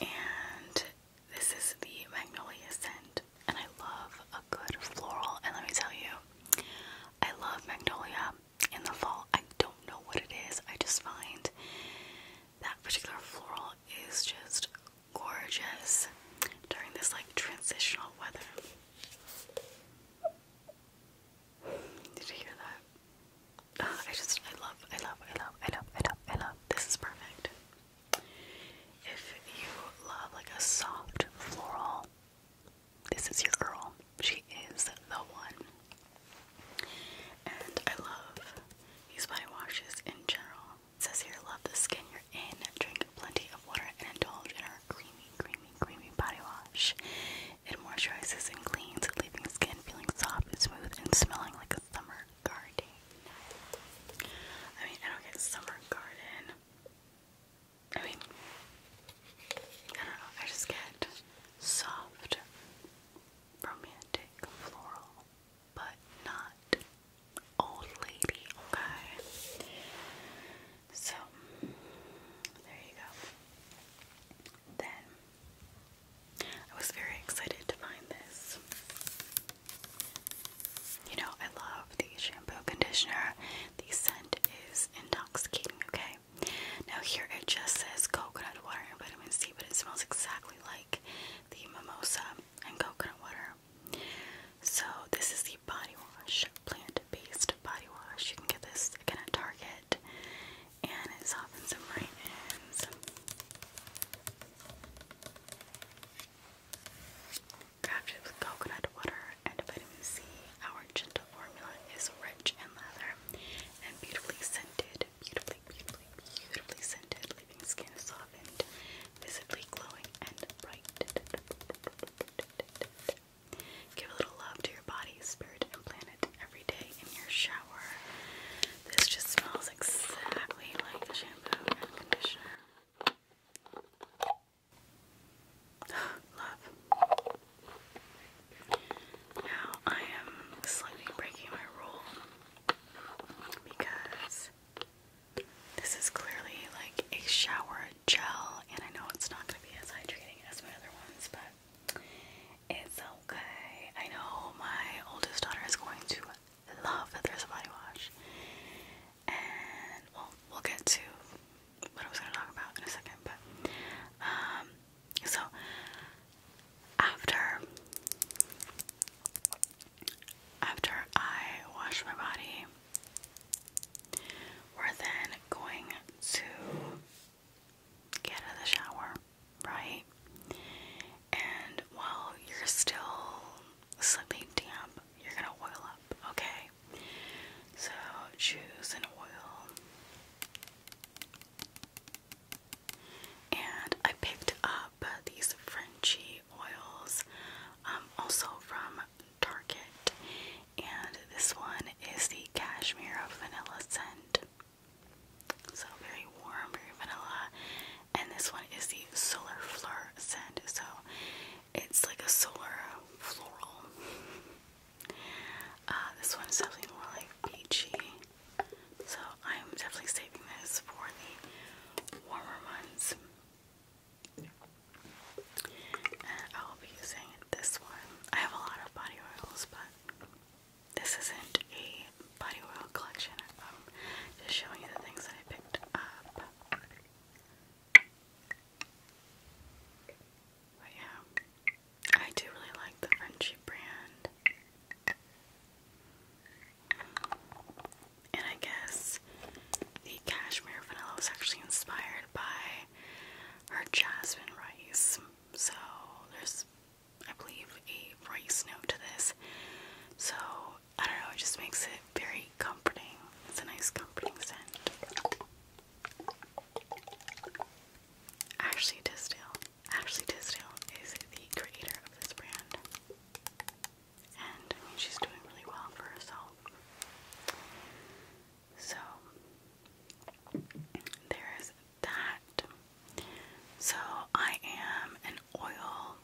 Speaker 1: And this is the Magnolia scent, and I love a good floral. And let me tell you, I love Magnolia in the fall. I don't know what it is, I just find that particular floral is just gorgeous during this like transitional weather. Did you hear that? Uh, I just, I love, I love, I love, I love, I love, I love. This is perfect. If you love like a soft floral, this is your girl. She is the one. And I love these body washes in general. says here, love the skin you're in, drink plenty of water, and indulge in our creamy, creamy, creamy body wash. It moisturizes and cleans, leaving skin feeling soft and smooth and smelling like a summer garden. I mean, I don't get summer garden I mean, I don't know, I just get soft, romantic, floral, but not old lady, okay? So, there you go. Then, I was very excited to find this. You know, I love the shampoo conditioner. The scent is intoxicating, okay? Now, here it just says coconut water and vitamin C, but it smells exactly like the mimosa and coconut water. So, this is the body wash, plant based body wash. You can get this again at Target, and it's softens them right in. Crafted with coconut water and vitamin C, our gentle formula is rich in leather and beautifully scented, beautifully, beautifully, beautifully scented, leaving skin softened, visibly glowing, and bright. Give a little love to your body, spirit, and planet every day in your shower. This just smells exactly like the shampoo and conditioner. Love. Now I am slightly breaking my rule because this is clearly like a shower gel, and I know it's not going to be as hydrating as my other ones, but it's okay. I know my oldest daughter is going to love that there's a body wash and well, we'll get to what I was gonna talk about in a second, but um, so after after I wash my body, we're then going to get out of the shower, right? And while you're still slipping damp you're gonna oil up, okay? So choose an oil. And I picked up these Frenchy oils um, also from Target. And this one is the Cashmere Vanilla Scent. So very warm, very vanilla. And this one is the Solar Fleur scent. So it's like a solar floral. Uh, this one is definitely more like peachy. So I'm definitely saving this for the warmer months. I will be using this one. I have a lot of body oils, but this isn't a body oil collection. I'm just showing you the things that I picked up. But yeah, I do really like the Frenchy brand. And I guess the cashmere vanilla was actually inspired by her jasmine rice. So there's, I believe, a rice note to this. So I don't know, it just makes it very comforting. It's a nice comforting scent. Ashley Tisdale. Ashley Tisdale is the creator of this brand. And she's doing really well for herself. So there is that. So I am an oil,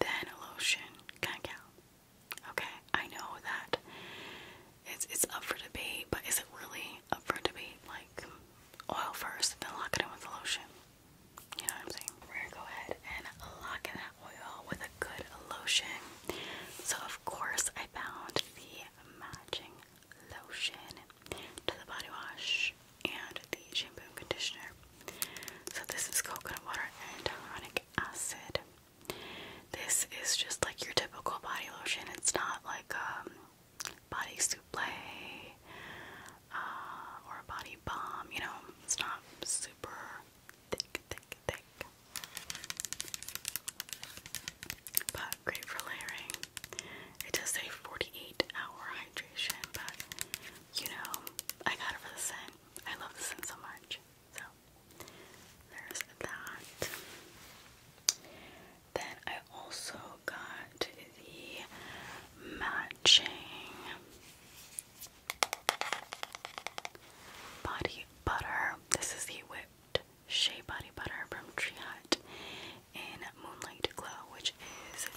Speaker 1: then a lotion, cacao. Okay, I know that it's it's up for debate, but is it really up for debate? Like oil first, then lock it with lotion. You know what I'm saying? We're gonna go ahead and lock that oil with a good lotion. So of course I found the matching lotion to the body wash and the shampoo conditioner. So this is coconut water and hyaluronic acid. This is just like your typical body lotion. It's not like um body souffle uh, or a body balm, you know, it's not super thick, thick, thick. But great for layering. It does say 48 hour hydration, but you know, I got it for the scent. I love the scent so much. So there's that. Then I also got the matching body butter. This is the whipped shea body butter from Tree Hut in Moonlight Glow, which is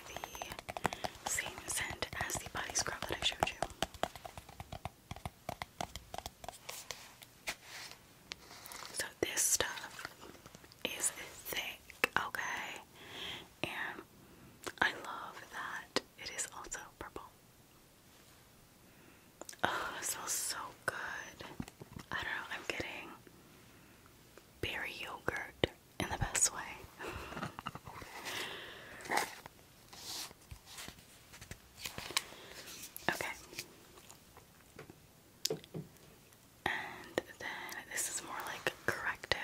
Speaker 1: the same scent as the body scrub that I showed you. So this stuff is thick, okay? And I love that it is also purple. Oh, smells so good. I don't know, I'm getting berry yogurt in the best way. Okay. And then this is more like corrective.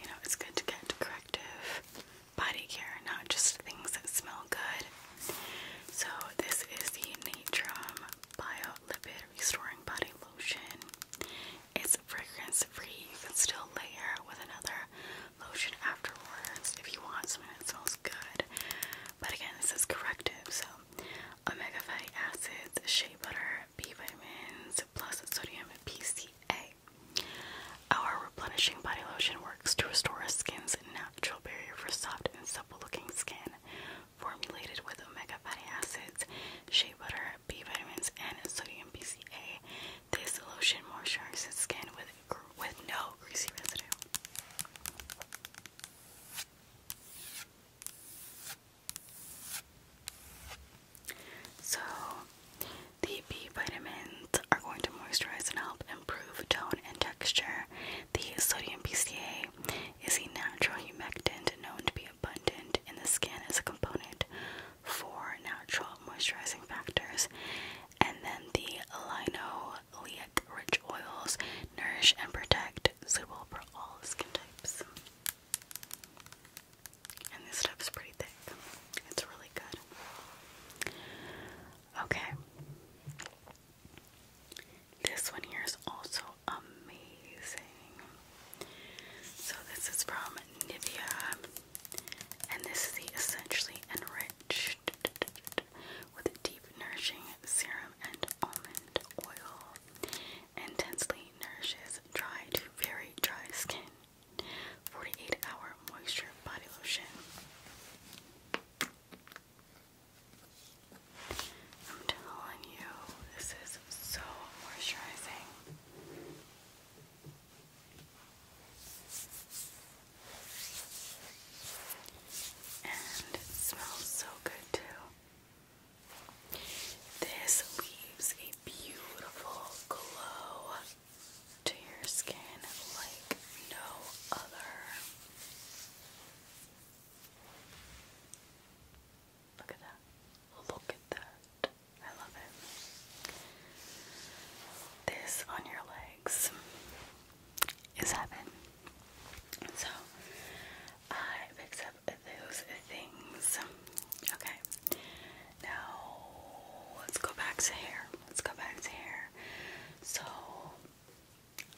Speaker 1: You know, it's good to get corrective body care, not just things that smell good. So, this is the Natrum Bio Lipid Restoring Body Lotion. It's fragrance free. You can still layer with another lotion afterwards if you want something that smells good. But again, this is corrective, so omega fatty acids, shea butter, B vitamins, plus sodium PCA. Our replenishing body lotion works to restore a skin's natural barrier for soft and supple-looking skin. Formulated with omega fatty acids, shea butter, B vitamins, and sodium PCA, this lotion moisturizes skin with with no greasy residue. So, the B vitamins are going to moisturize and help improve tone and texture. The sodium PCA is a natural humectant known to be abundant in the skin as a component for natural moisturizing factors and then the Lino linoleic rich oils nourish and protect, suitable for all skin types. And this stuff's pretty thick. It's really good. Okay. This one here is also amazing. So this is from Nivea, and this is the Essentially Enriched with deep nourishing serum and almond oil. Intensely nourishes dry very dry skin. 48 hour moisture body lotion. I'm telling you, this is so moisturizing. And it smells so good too. This leaves a beautiful glow to your skin like no other. Look at that. Look at that. I love it. This on your leg legs is So I fix up those things. Okay. Now let's go back to hair. Let's go back to hair. So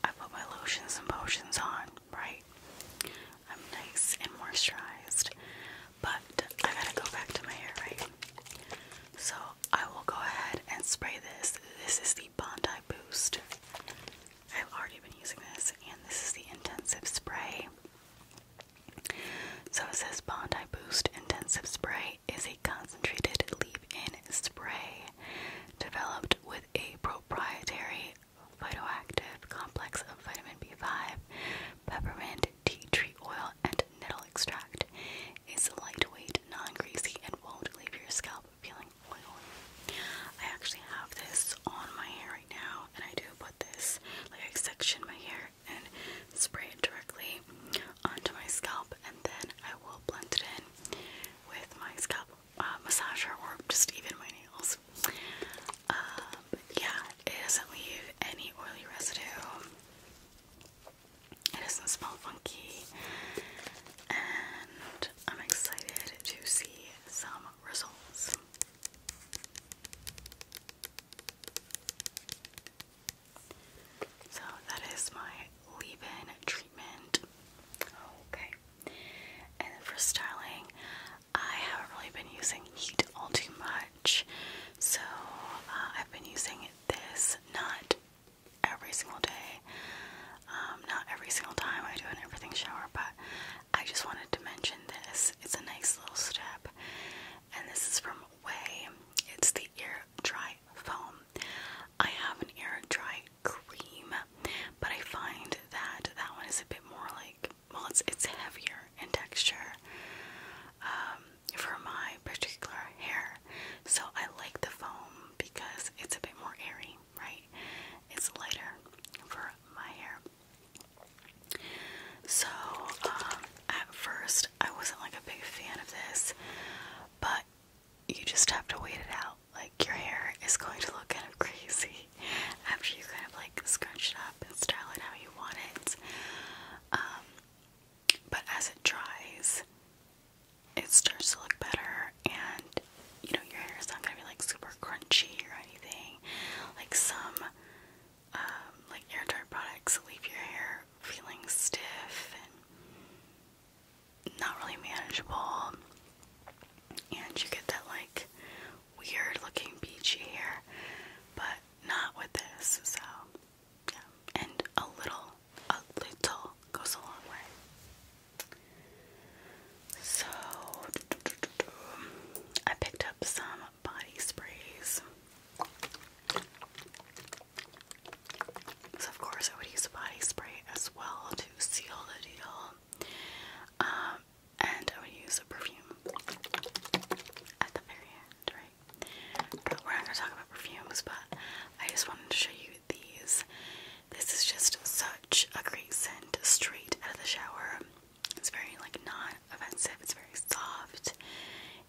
Speaker 1: I put my lotions and potions on, right? I'm nice and moisturized. But I gotta go back to my hair, right? So I will go ahead and spray this. This is the Bondi Boost. I've already been using this, and this is the intensive spray. So it says Bondi Boost Intensive Spray is a concentrated leave-in spray developed with a proprietary phytoactive complex of vitamin B5, peppermint, tea tree oil, and nettle extract is lightweight, non-greasy, and won't leave your scalp feeling oily. I actually have this on my hair right now, and I do put this, like I section my hair and spray it directly onto my scalp, and then I will blend it in with my scalp uh, massager or just even my nails. Um, yeah, it doesn't leave any oily residue. It doesn't smell funky, and I'm excited to see some results. So that is my leave-in treatment. Okay. And then for styling, I haven't really been using heat all too much. So uh, I've been using this not every single day. Um, not every single time I do an everything shower, but I just wanted to mention this. It's a nice little step, and this is from Way. It's the air dry foam. I have an air dry cream, but I find that that one is a bit more like well, it's it's heavier in texture um, for my particular hair. So I like the foam because it's a bit more airy, right? It's lighter for my hair. So, um, at first, I wasn't like a big fan of this, but you just have to wait it out. Like, your hair is going to look kind of crazy after you kind of like scrunch it up and style it how you want it. Um, but as it dries, it starts to look better and you know your hair is not gonna be like super crunchy or anything. Like some um, like air dry products leave your hair feeling stiff and not really manageable, and you get that like weird looking beachy hair, but not with this. So yeah, and a little a little goes a long way. So, I picked up some body sprays. So, of course, I would use a body spray as well to seal the deal. Um, and I would use a perfume at the very end, right? we're not gonna talk about perfumes, but I just wanted to show you these. This is just such a great scent straight out of the shower. It's very like non-offensive, it's very soft,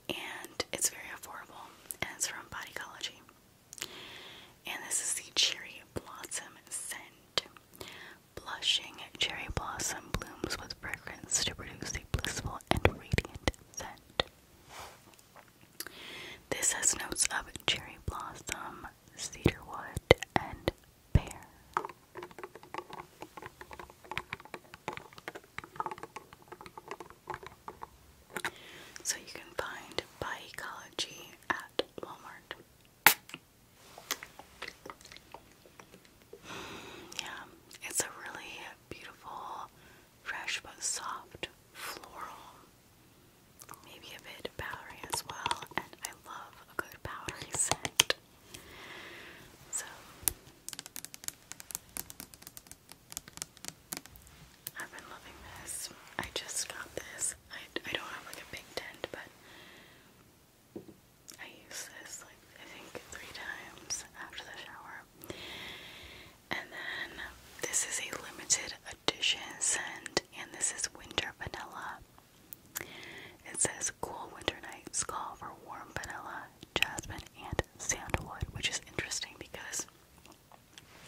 Speaker 1: and it's very affordable, and it's from Body Bodycology. And this is the Cherry Blossom scent. Blushing cherry blossom blooms with fragrance to produce a blissful and radiant scent. This has notes of cherry blossom, cedarwood, and pear. So you can find by ecology at Walmart. Yeah, it's a really beautiful, fresh but soft floral Maybe a bit of as well, and I love a good Bowery scent. So I've been loving this. I just got this. I I don't have like a big tent, but I use this like I think three times after the shower. And then this is a limited edition and and this is winter vanilla. It says cool winter nights call for warm vanilla, jasmine, and sandalwood, which is interesting because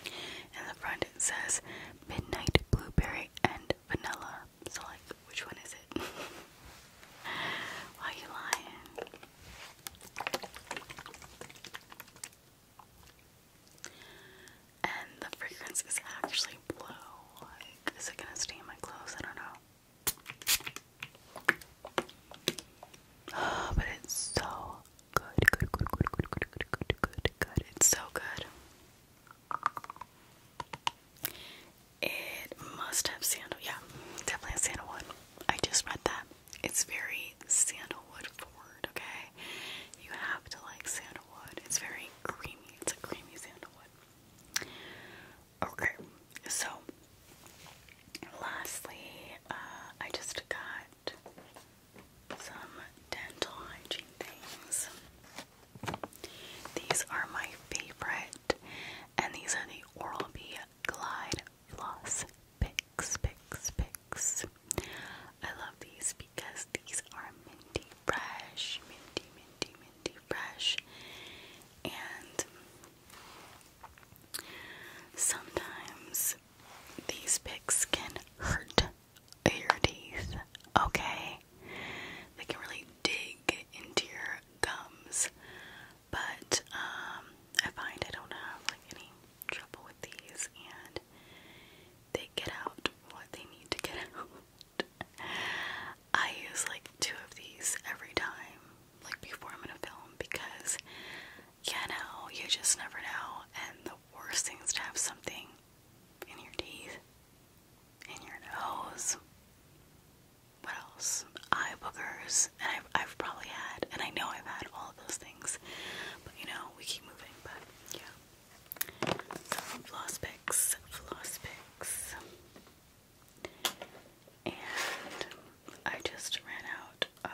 Speaker 1: in the front it says midnight blueberry and vanilla. So, like, which one is it? Why are you lying? And the fragrance is actually blue. is it gonna stain my clothes? I don't know. Oh, but it's so good. Good, good, good, good, good, good, good, good, It's so good. It must have sandal. Yeah, definitely sandalwood. I just read that. It's very sandalwood forward, okay? You have to like sandalwood. It's very creamy. It's a creamy sandalwood. Okay, so lastly, uh, I just got some dental hygiene things. These are my favorite, and these are the Oral B Glide Floss Pick picks, picks, picks. I love these because these are minty fresh, minty, minty, minty fresh. And sometimes these picks can hurt your teeth, okay? They can really dig into your gums. But um I find I don't have like any trouble with these and they get out what they need to get out. I use like two of these every time, like before I'm gonna film, because you know, you just never know. And the worst thing is to have something in your teeth, in your nose. What else? Eye boogers. And I've, I've probably had, and I know I've had all those things. But you know, we keep moving, but yeah floss picks, floss picks. And I just ran out of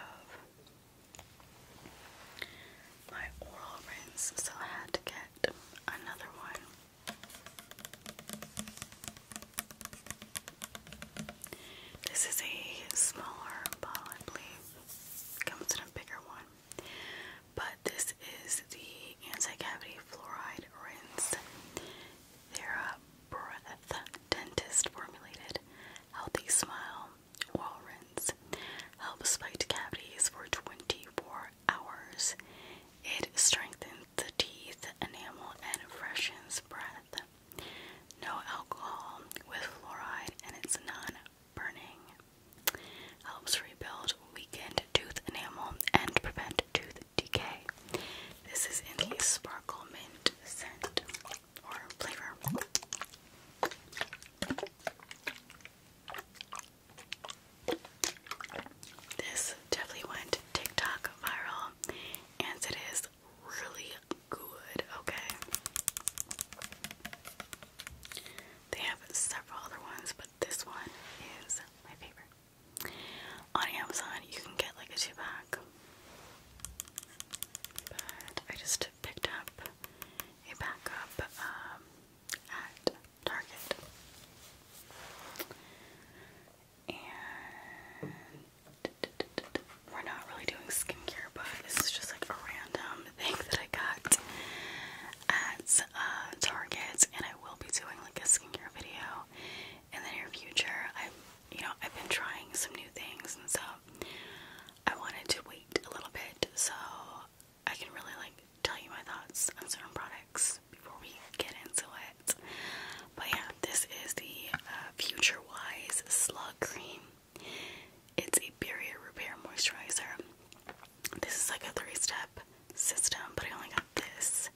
Speaker 1: my oral rinse, so I had to get another one. This is a smaller ball, I believe. Comes in a bigger one. But this is the anti-cavity fluoride rinse. They're a breath dentist formulated healthy smile wall rinse. Helps fight cavities for 24 hours. It strengthens the teeth, enamel, and freshens breath. No alcohol with fluoride, and it's non burning. Helps rebuild weakened tooth enamel and prevent tooth decay. This is in the sparkle mint scent or flavor. This definitely went TikTok viral and it is really good, okay? They have several other ones, but this one is my favorite. On Amazon, you can get like a two pack, but I just picked up a backup um, at Target. And we're not really doing skincare, but this is just like a random thing that I got at uh, Target, and I will be doing like a skincare video in the near future. I, you know, I've been trying some new things, and so I wanted to wait a little bit so I can really like tell you my thoughts on certain products before we get into it. But yeah, this is the uh, Future Wise Slug Cream. It's a barrier repair moisturizer. This is like a three step system, but I only got this.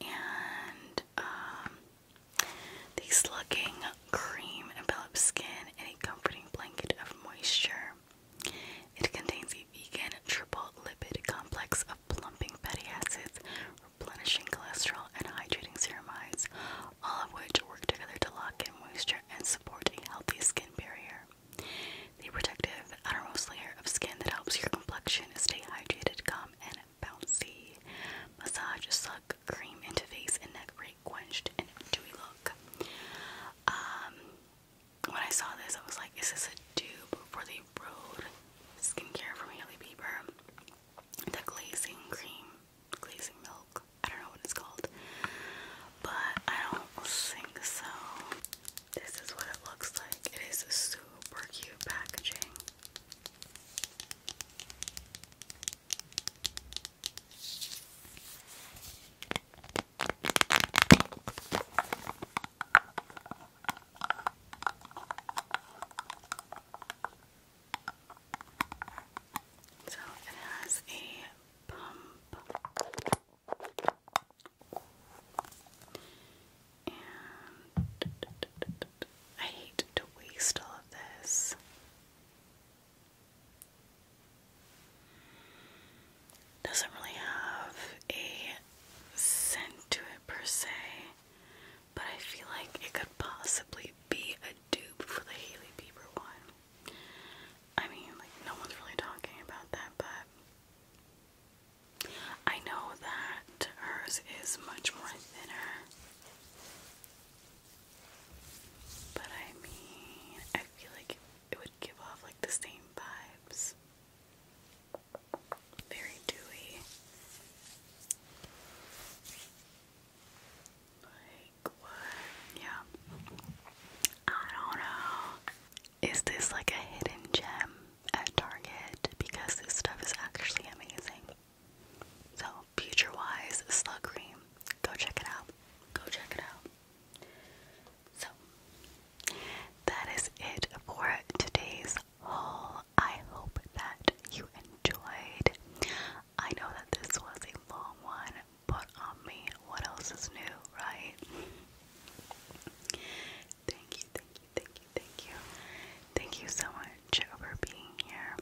Speaker 1: And um, the slugging cream envelops skin in a comforting blanket of moisture. It contains a vegan triple lipid complex of plumping fatty acids, replenishing cholesterol, and hydrating ceramides, all of which work together to lock in moisture and support a healthy skin barrier. The protective outermost layer of skin that helps your complexion stay hydrated, calm, and bouncy. Massage, a suck, cream into face and neck, rate quenched and dewy look. Um, when I saw this, I was like, is this a dupe for Road Skincare from Hailey Bieber? The glazing cream, glazing milk. I don't know what it's called, but I don't think so. This is what it looks like. It is super cute packaging. So it has a pump I hate to waste all of this. Doesn't really have a scent to it per se, but I feel like it could possibly be a dupe for the Hailey Bieber one. I mean, like, no one's really talking about that, but I know that hers is much more thinner. But I mean, I feel like it would give off like the same vibes. Very dewy. Like yeah. I don't know. Is this like a hidden gem at Target? Because this stuff is actually amazing. So, future wise, slug Go check it out. Go check it out. So, that is it for today's haul. I hope that you enjoyed. I know that this was a long one, put on um, me. What else is new, right? thank you, thank you, thank you, thank you. Thank you so much for being here.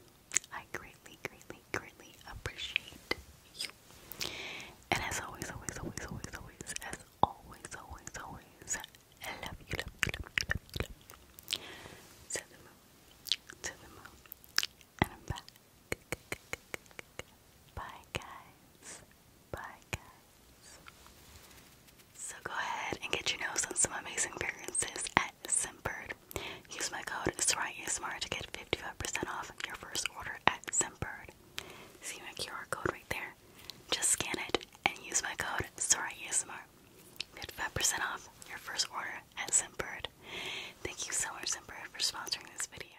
Speaker 1: I greatly, greatly, greatly appreciate you. And as always, always, always, always, always, as always, always, always, I love you, love you, love you, love you, love you. To the moon, to the moon, and I'm back. Bye guys. Bye guys. So go ahead and get your nose on some amazing fragrances at Simpered. Use my code SRIASMR to get 55% off your first order at Simpered. See my QR code right there. Just scan it and use my code SRIASMR. 55% off your first order at Simperd. Thank you so much, Simperd, for sponsoring this video.